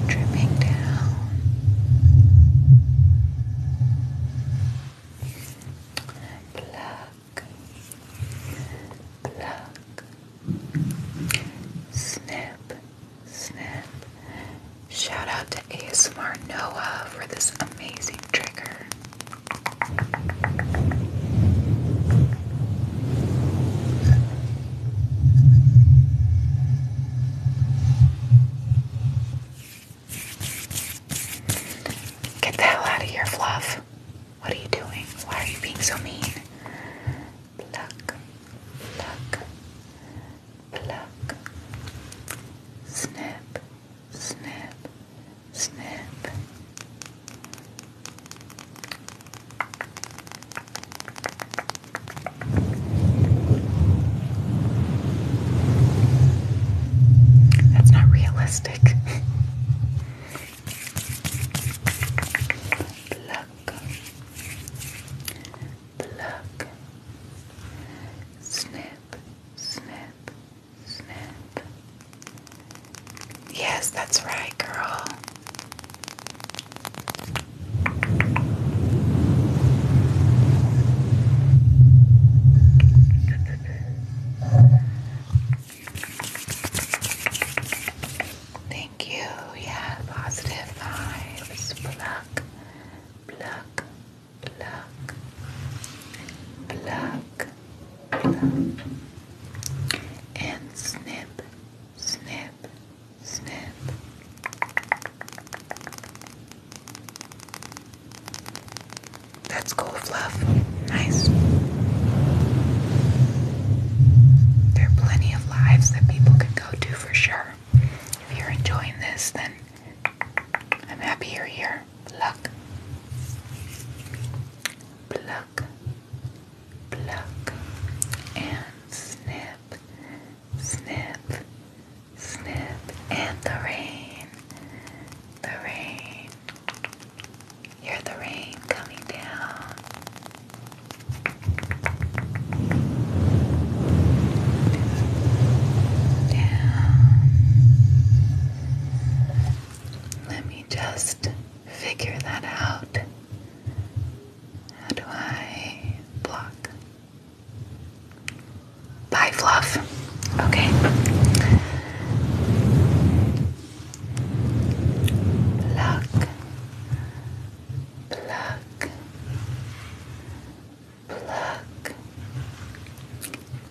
[SPEAKER 1] dripping down. Pluck, pluck, snip, snip. Shout out to ASMR Noah for this amazing trigger. Get the hell out of here, Fluff. What are you doing? Why are you being so mean? Pluck, pluck, pluck. Snip, snip,
[SPEAKER 2] snip.
[SPEAKER 1] That's not realistic. Pluck.
[SPEAKER 2] Pluck. Snip. Snip.
[SPEAKER 1] Snip. Yes, that's right, girl. Thank you. Yeah, positive vibes. Pluck, pluck, pluck, pluck, and snip, snip. Snap. That's cool fluff. Nice. There are plenty of lives that people can go to for sure. If you're enjoying this, then I'm happy you're here. Pluck. Pluck. Pluck. And snip snip, snip, and the rain, the rain. Hear the rain coming down. Let me just figure that out. How do I block Bye, Fluff.
[SPEAKER 2] Okay. Pluck.
[SPEAKER 1] Pluck. Pluck.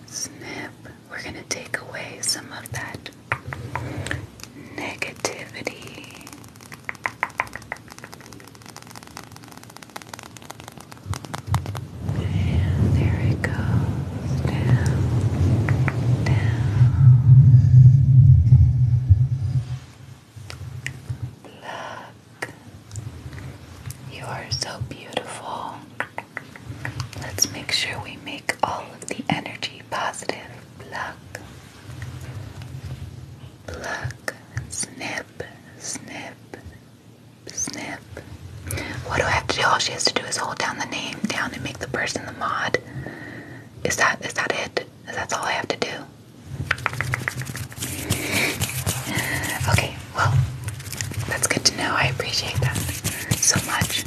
[SPEAKER 1] Snip. We're going to take away some of that negativity. And there it goes down, down. Look, you are so beautiful. Let's make sure we make all of the energy positive. Pluck, pluck, snap snip, snip, What do I have to do? All she has to do is hold down the name down and make the person the mod. Is that is that is that it? Is that all I have to do. Okay, well, that's good to know. I appreciate that so much.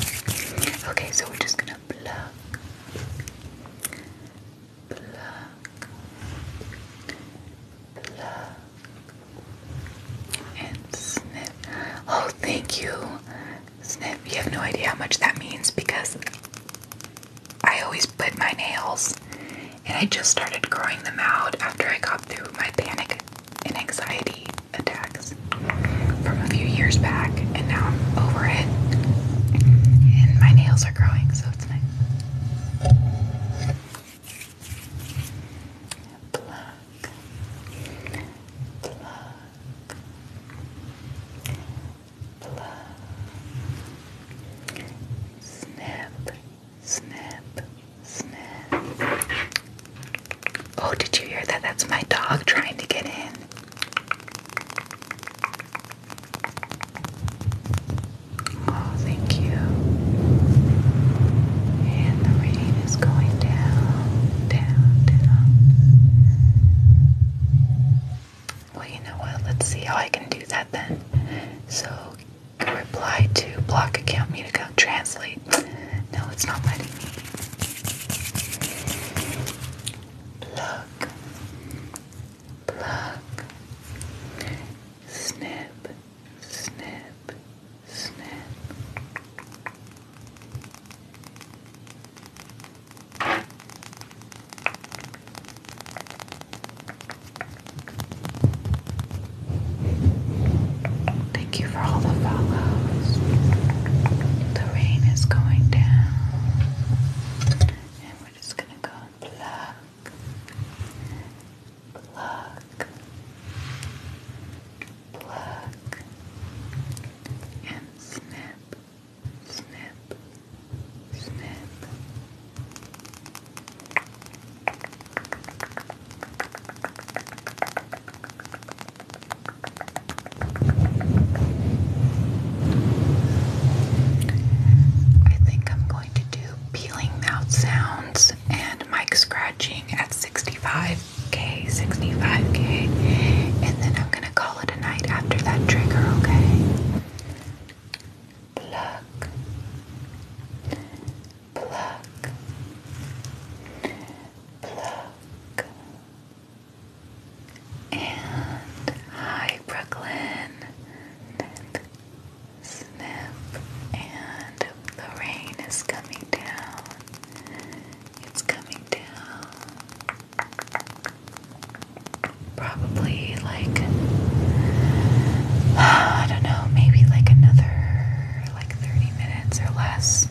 [SPEAKER 1] Okay, so we're just gonna pluck, and sniff. Oh, thank you, sniff. You have no idea how much that means because I always put my nails, and I just started growing them out after I got through my panic and anxiety attacks from a few years back, and now I'm over it. And my nails are growing, so it's nice. Black, black, black. Snip, snip, snip. Oh, did you hear that? That's my dog trying to get in. Oh, thank you. And the rain is going down, down, down. Well, you know what? Let's see how I can do that then. So, reply to block account me to translate. No, it's not letting me. Plug. Plug. Snap, snap, snap. Thank you for all the follows. The rain is going down, and we're just gonna go and pluck pluck, pluck, and snip, snip, snip. I think I'm going to do peeling mouth sounds and mic scratching at 65k, 65k, and then I'm gonna call it a night after that trigger, okay? Pluck, pluck, pluck, and hi Brooklyn snip, and the rain is coming down. It's coming down. Probably like, I don't know, maybe like another like 30 minutes or less.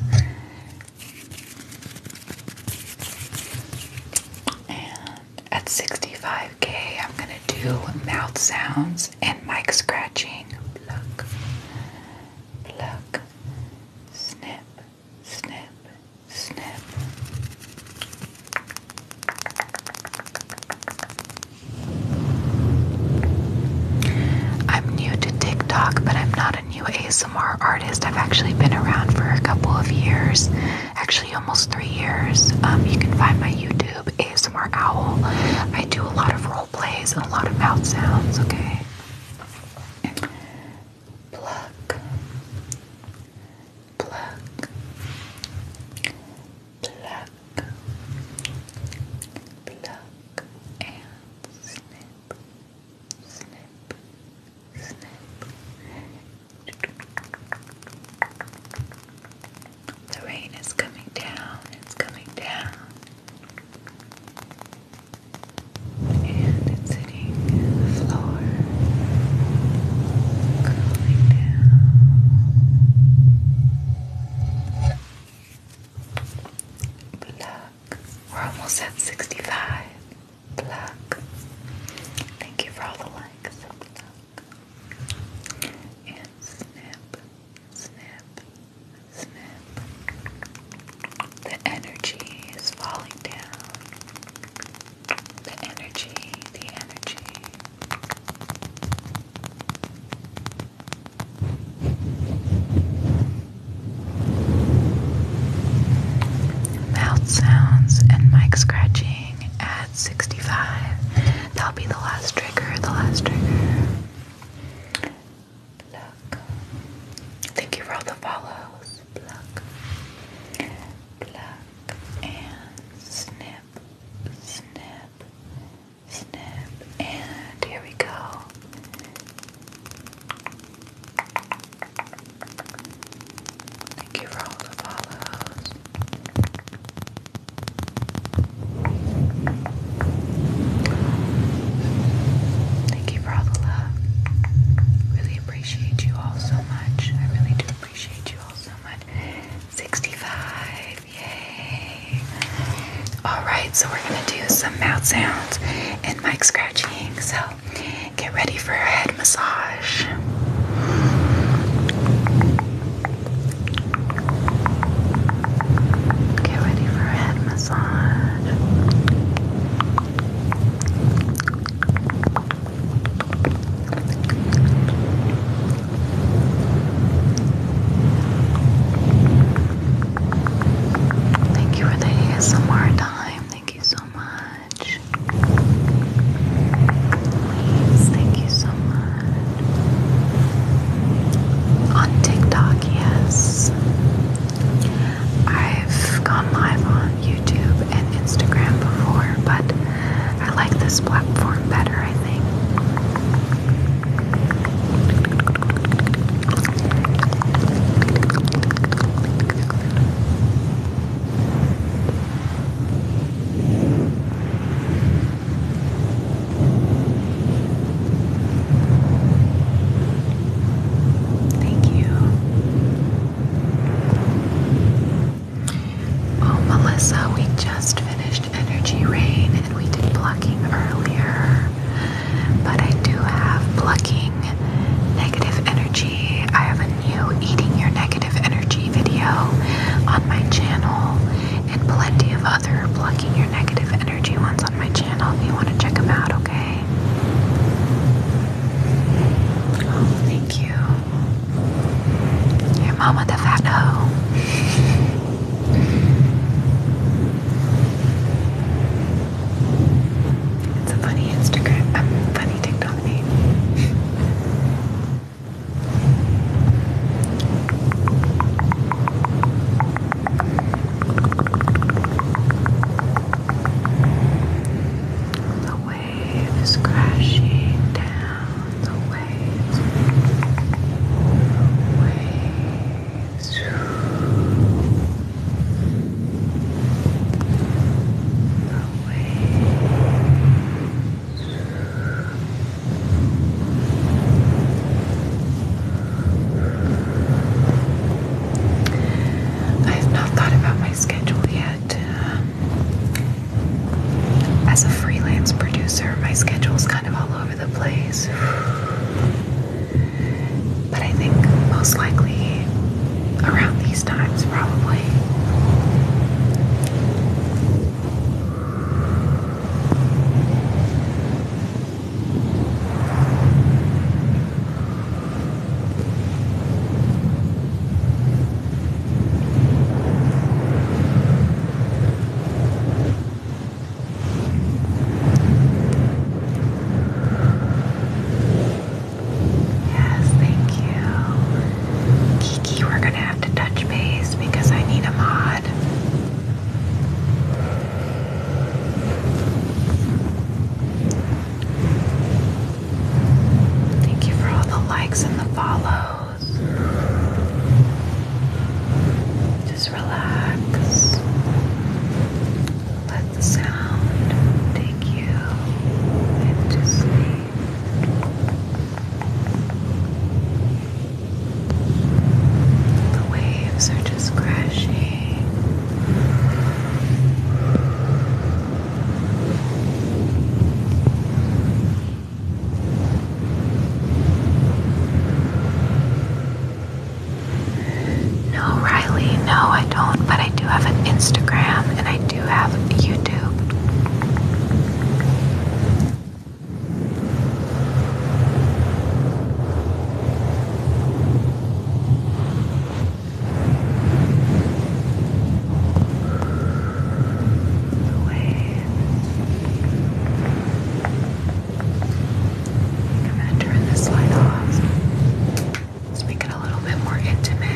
[SPEAKER 1] And at 65k, I'm gonna do mouth sounds and mic scratching. Look, look, snip, snip, snip. I'm new to TikTok, but I'm not a new ASMR artist. I've actually been around for a couple of years, actually almost three years. Um, you can find my YouTube ASMR owl. I do a lot of role plays and a lot of mouth sounds, okay? Pluck. Pluck. Pluck. Pluck. And snip. Snip. Snip. The rain is coming down, it's coming down. And it's hitting the floor, cooling down. Pluck. We're almost at 65. Pluck. Thank you for all the likes. And snip, snip, snip. The energy is falling down. The energy, the energy. Mouth sounds and mic scratching add 65. That'll be the last trigger, the last trigger. Thank you for all the follows. And snip. Snip. Snip. And here we go. Thank you for all the follows. Thank you for Really appreciate you all so much. I really do appreciate you all so much. 65, yay. Alright, so we're gonna do some mouth sounds and mic scratching. So get ready for a head massage. Get ready for a head massage. Thank you for the ASMR time. Thank you so much. Please, thank you so much on TikTok, yes. I've gone live on YouTube and Instagram before, but I like this platform better, I think. Thank you. Oh, Melissa, we just finished Energy Rain and we did plucking earlier. But I do have plucking negative energy. I have a new Eating Your Negative Energy video on my channel and plenty of other other Your Negative Energy ones on my channel if you want to check them out, okay? Oh, thank you. Your mama the fat hoe. It's a funny Instagram, um, funny TikTok
[SPEAKER 2] the wave
[SPEAKER 1] crashing down The waves. The waves. The waves. I have not thought about my schedule yet. Um, as a freelance producer, my schedule is kind of all over the place. But I think most likely around these times, probably. Yes, thank you. Kiki, we're going to have to touch base because I need a mod. Thank you for all the likes and the follows. Just relax. Let the sound take you into sleep. The waves are just crashing. No, Riley, no, I don't, but I do have an Instagram and I do have YouTube. The
[SPEAKER 2] waves. I'm going to turn this light off. Let's make it a little bit more intimate.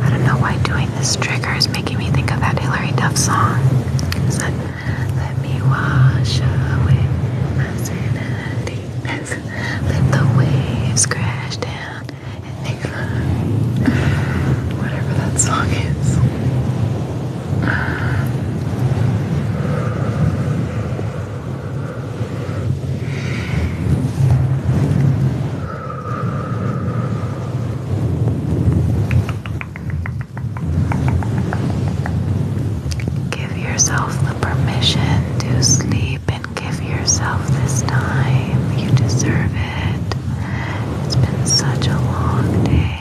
[SPEAKER 1] I don't know why doing this trigger is making me think of that Hilary Duff song. let me wash away my sanity. Let the waves crash down and make fun. Whatever that song is. Give yourself the permission to sleep and give yourself this time. You deserve it. It's been such a long day.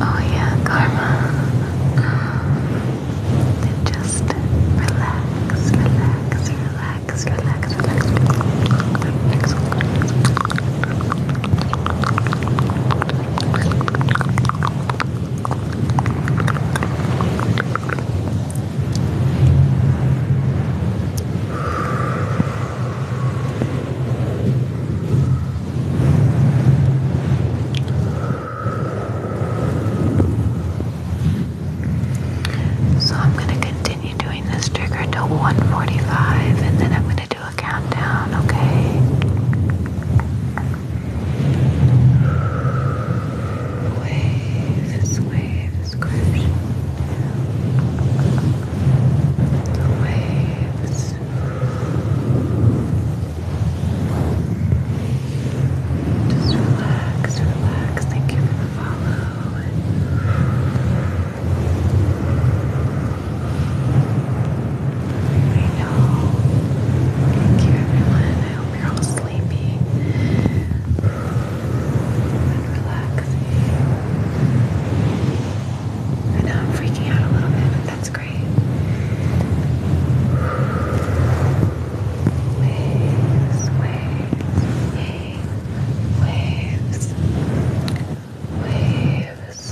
[SPEAKER 2] Oh, yeah, Karma. Uh, just relax, relax, relax, relax, relax, relax, relax. Relax.
[SPEAKER 1] So I'm going to continue doing this trigger till 145 and then I'm going to do a countdown, okay? Waves, waves crashing. The waves. relax, relax. Thank you for the follow. I
[SPEAKER 2] know. Thank you, everyone. I hope you're all sleepy relaxing. I I'm freaking out a little bit, but that's great. Waves, waves, yay. Waves, waves.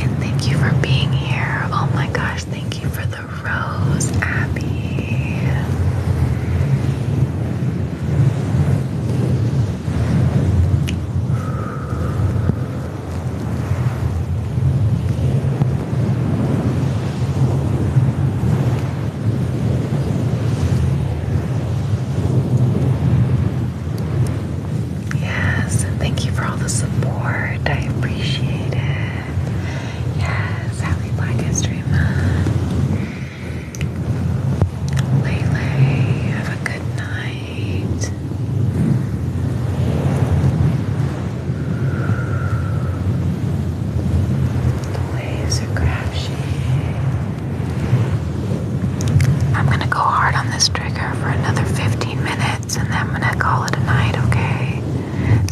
[SPEAKER 1] And thank you for being here. Oh my gosh, thank you for the rose, Abby. Yes, and thank you for all the support. I appreciate it. Yes, happy Black History Month. Lele, have a good night. Laser crashing. I'm gonna go hard on this trigger for another 15 minutes and then I'm gonna call it a night, okay?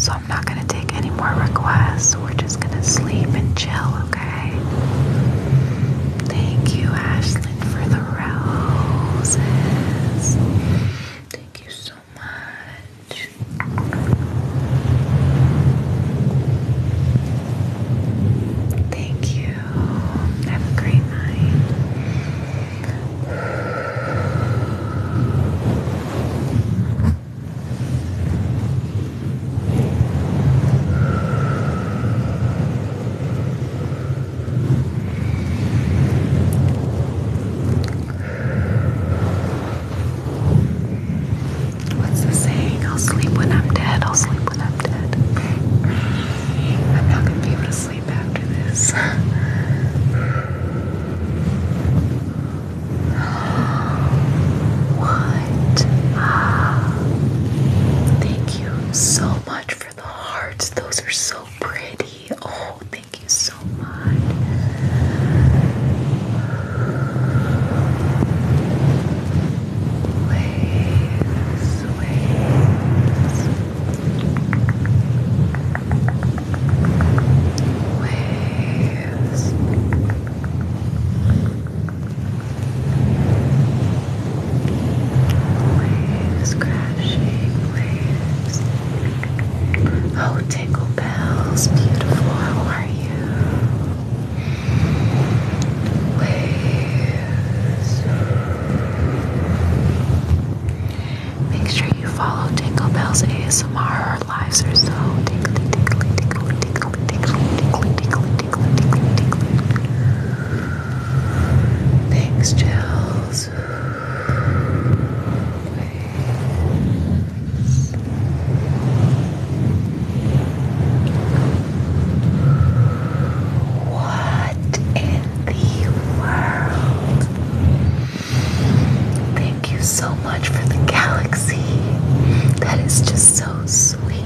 [SPEAKER 1] So I'm not gonna take any more requests. We're just gonna sleep and chill, okay? Thank you, Ashlyn, for the roses. Thank you so much. Thank you. Have a great night. What's the saying? I'll sleep when I'm dead. I'll sleep when I'm I'm not gonna be able to sleep after this. what? Ah. thank you so much for the hearts. Those are so pretty. Oh, thank you so much waves, waves, waves, waves crashing, waves. Oh, Tingle Bells, beautiful, how are you? Make sure you follow Tingle ASMR. lives are so tingly, tingly, tingly, tingly, tingly, tingly, tingly, tingly, tingly, tingly. Thanks, Chills. What in the world? Thank you so much for the galaxy. That is just so sweet.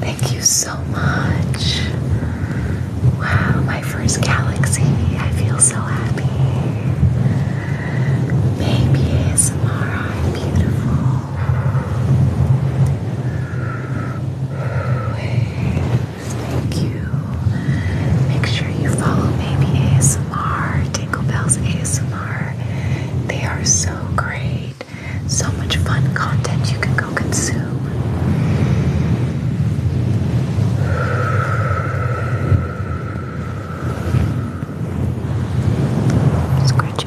[SPEAKER 1] Thank you so much. Wow, my first galaxy. I feel so happy.
[SPEAKER 2] Baby Samara, beautiful.
[SPEAKER 1] Thank you. Make sure you follow Baby ASMR, Tingle ASMR. They are so great. So much fun content you can go consume.
[SPEAKER 2] Scratch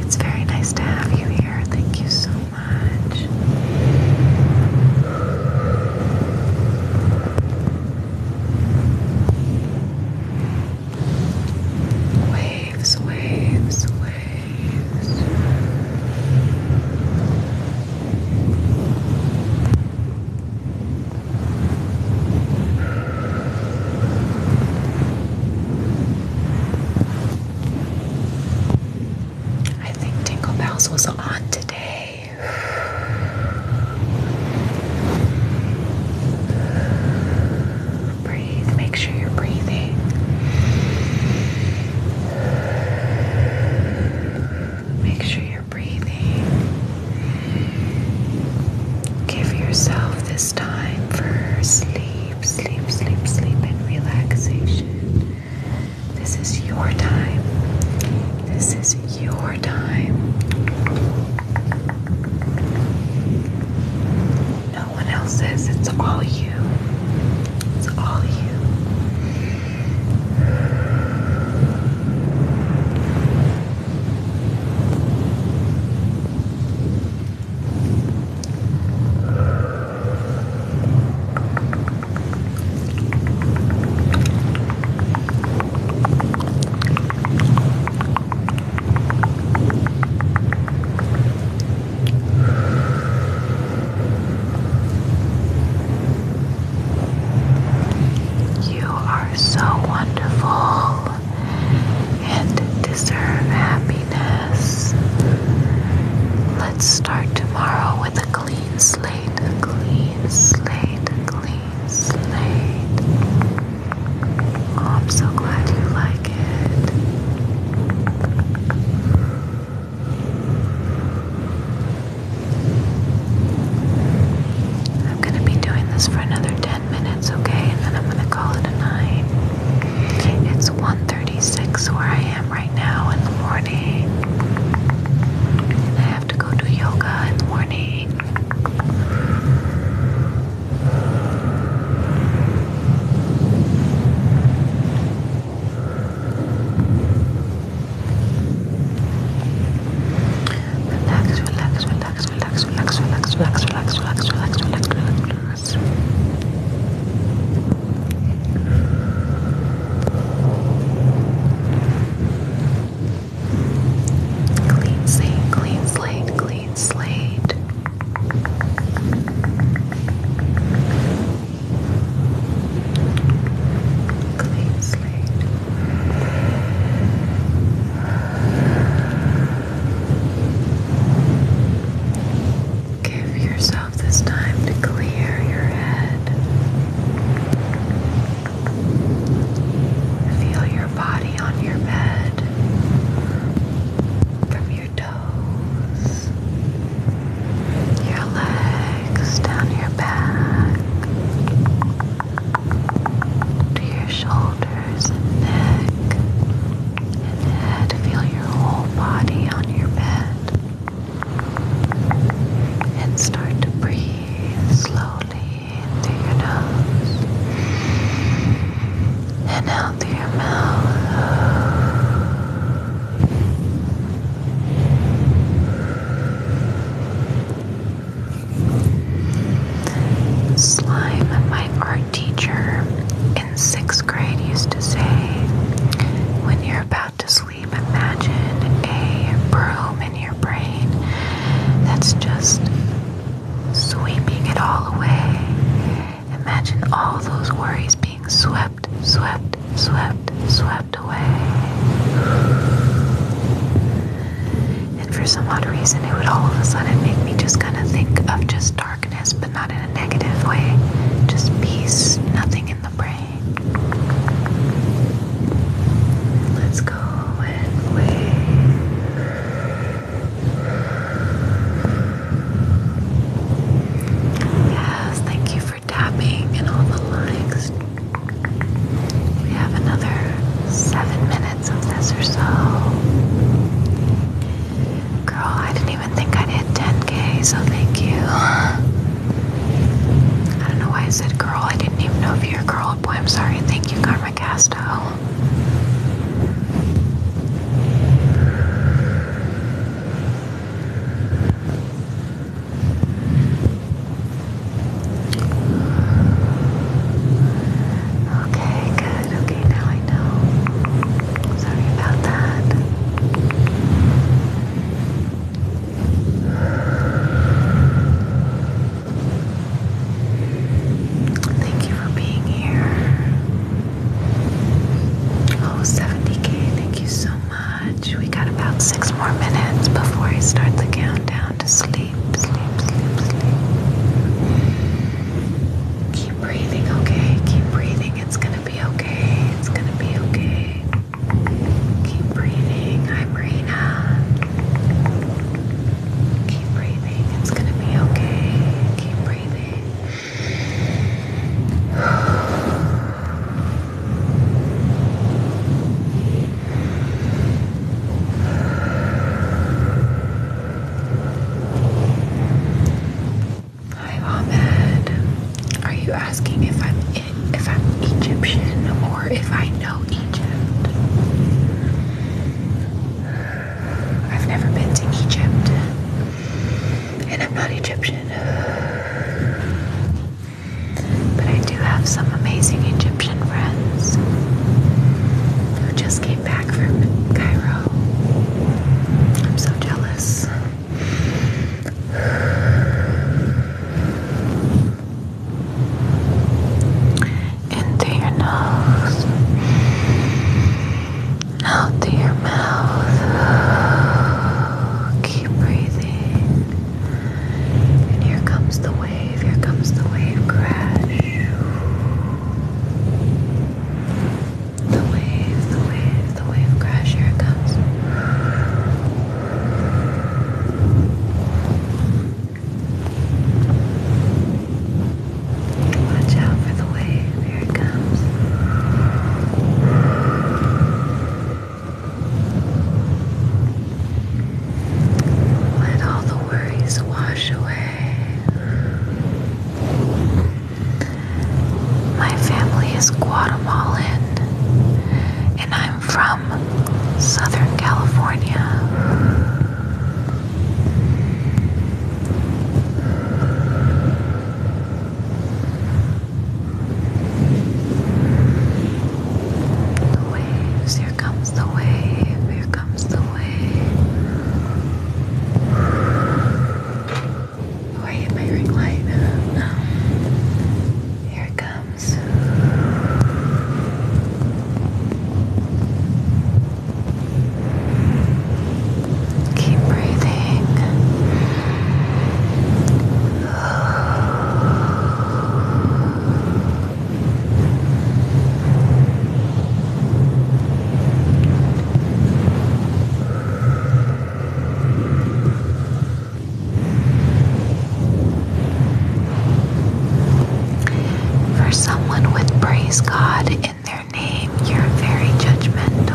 [SPEAKER 2] It's very nice to have you here.
[SPEAKER 1] Thank you so much. Waves, waves, waves. I think Tingle Bells was on today. Breathe, make sure you're breathing. Make sure you're breathing. Give yourself this time for sleep sleep, sleep, sleep, sleep, and relaxation. This is your time. This is your time. No one else's. It's all you. It's all you. You are so wonderful and deserve happiness. Let's start tomorrow with a clean slate, clean slate, clean slate. Oh, I'm so glad you like it. I'm going to be doing this for another 10 minutes minutes, okay? And then I'm gonna call it a night. It's 1.36 where I am right now in the morning. I have to go do yoga in the morning. relax, relax, relax, relax, relax, relax, relax, relax, relax, relax, relax, relax Clean slate, clean slate, clean slate. Clean slate. Give yourself this time to clear your head. Feel your body on your bed from your toes, your legs down your back to your shoulders shoulders and neck Feel your whole body on your bed. And start to breathe slowly in through your nose and out through your mouth.
[SPEAKER 2] Slime
[SPEAKER 1] might argue teacher in sixth grade used to say, when you're about to sleep, imagine a broom in your brain that's just sweeping it all away. Imagine all those worries being swept, swept, swept, swept away. And for some odd reason, it would all of a sudden make me just kind of think of just dark but not in a negative way. Just peace, nothing in the brain. Let's go and Yes, thank you for tapping and all the likes. We have another seven minutes of this or so. Girl, I didn't even think I'd hit 10k, so thank you. I don't know why I said girl. I didn't even know if you're a girl. Boy, I'm sorry. Thank you, Karma Casto. Okay, good. Okay, now I know. Sorry about that. Thank you for being here. Oh, 70k, thank you so much. We got about six more minutes before I start the countdown to sleep, sleep, sleep, sleep. Keep breathing, okay? Keep breathing. It's gonna be okay. It's gonna be okay. Keep breathing. I'm Reena. Keep breathing. It's gonna be okay. Keep breathing. Hi Ahmed. Are you asking if I'm if I'm Egyptian or if I know Egypt? I've never been to Egypt, and I'm not Egyptian. But I do have some amazing Egyptian friends who just came back from Cairo. I'm so jealous. Into your nose, out to your mouth. Keep breathing. And here comes the wave, here comes the wave crash. The wave, the wave, the wave crash. Here it comes. Watch out for the wave. Here it comes. Let all the worries wash away. My family is Guatemalan, and I'm from Southern California. The waves, here comes the wave, here comes the wave. Oh, I hit my ring light. Um, here it comes. Keep breathing. For someone with praise God in their name, you're very judgmental.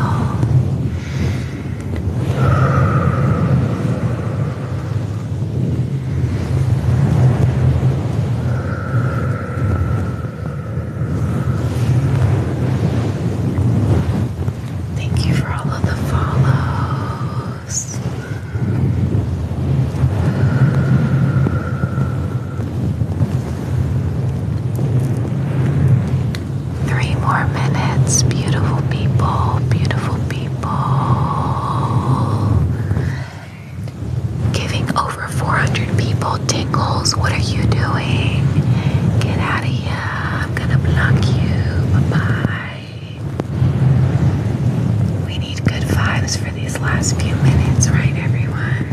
[SPEAKER 1] Thank you for all of the follows. Three more minutes, beautiful people, beautiful people. Giving over 400 people tingles. What are you doing? Get out of here. I'm gonna block you. Bye-bye. We need good vibes for these last few minutes, right everyone?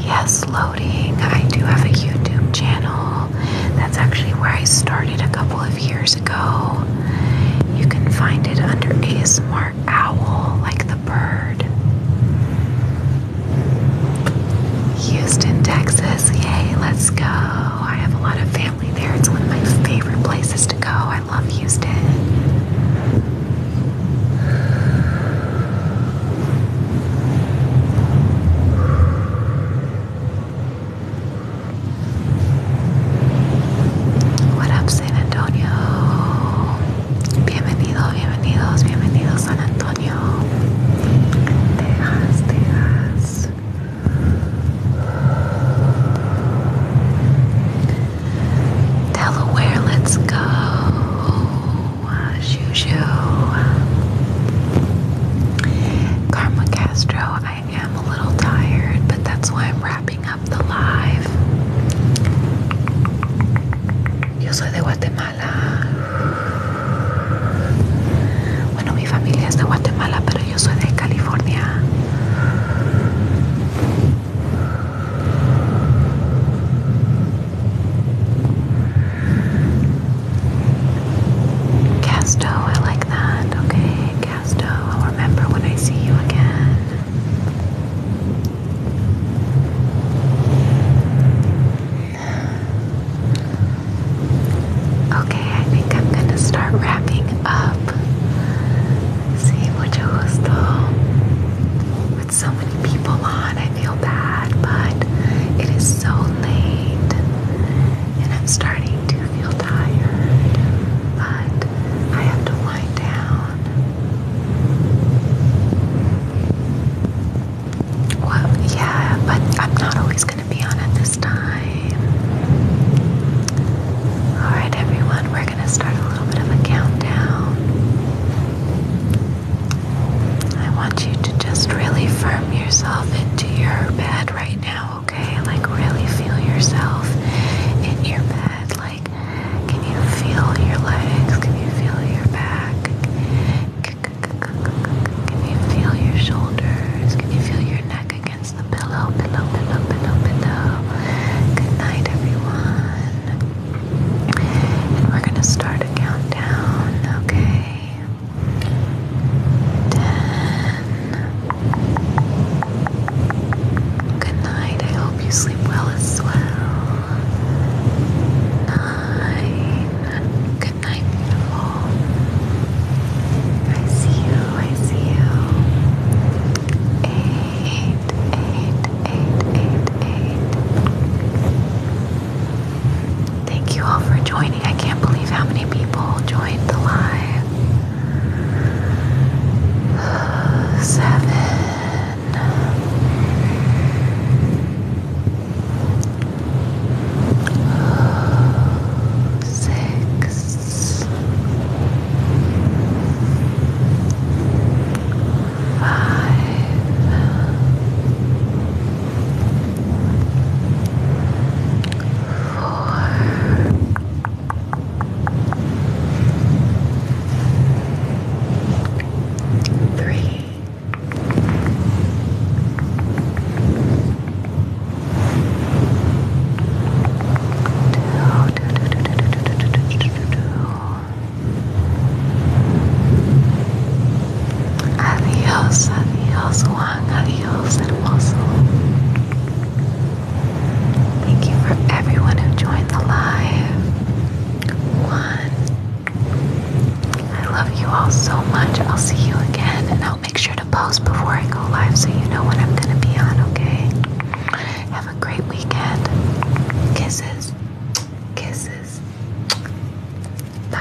[SPEAKER 1] Yes, loading. I do have a YouTube channel. That's actually where I started a couple of years ago. You can find it under ASMR owl like the bird. Houston, Texas, yay, let's go. I have a lot of family there. It's one of my favorite places to go. I love Houston. What up, San Antonio. Bienvenido, bienvenidos, bienvenidos San
[SPEAKER 2] Antonio. Delaware,
[SPEAKER 1] let's go. Uh, Juju. Karma Castro, I am a little tired, but that's why I'm wrapping up up the live. Yo soy de Guatemala. Bueno, mi familia es de Guatemala, pero yo soy de California. Casto, I like that. Okay, Casto, I'll remember when I see you again. Okay, I think I'm gonna start wrapping up. See, which was though with so many people on, I feel bad, but it is so late, and I'm starting to feel tired. But I have to wind down. Well, yeah, but I'm not always going to be on at this time. Alright, everyone, we're going to start a little bit of a countdown. I want you to just really firm yourself into your bed right now, okay? Like, really feel yourself in your bed. Like, can you feel your legs? Can you feel your back? Can you feel your shoulders? Can you feel your neck against the pillow? Pillow, pillow, pillow, pillow. Good night, everyone. And we're going to start a countdown, okay? Ten. Good night you sleep well as well. Nine. Good night, all. I see you. I see you. Eight. Eight. Eight. Eight. Eight. Thank you all for joining. I can't believe how many people joined the live. Seven then Three. Adiós, adiós, Juan, adiós, hermoso. Thank you for everyone who joined the live one. I love you all so much. I'll see you again, and I'll make sure to post before I go live so you know when I'm gonna be on, okay? Have a great weekend. Kisses. Kisses. Bye.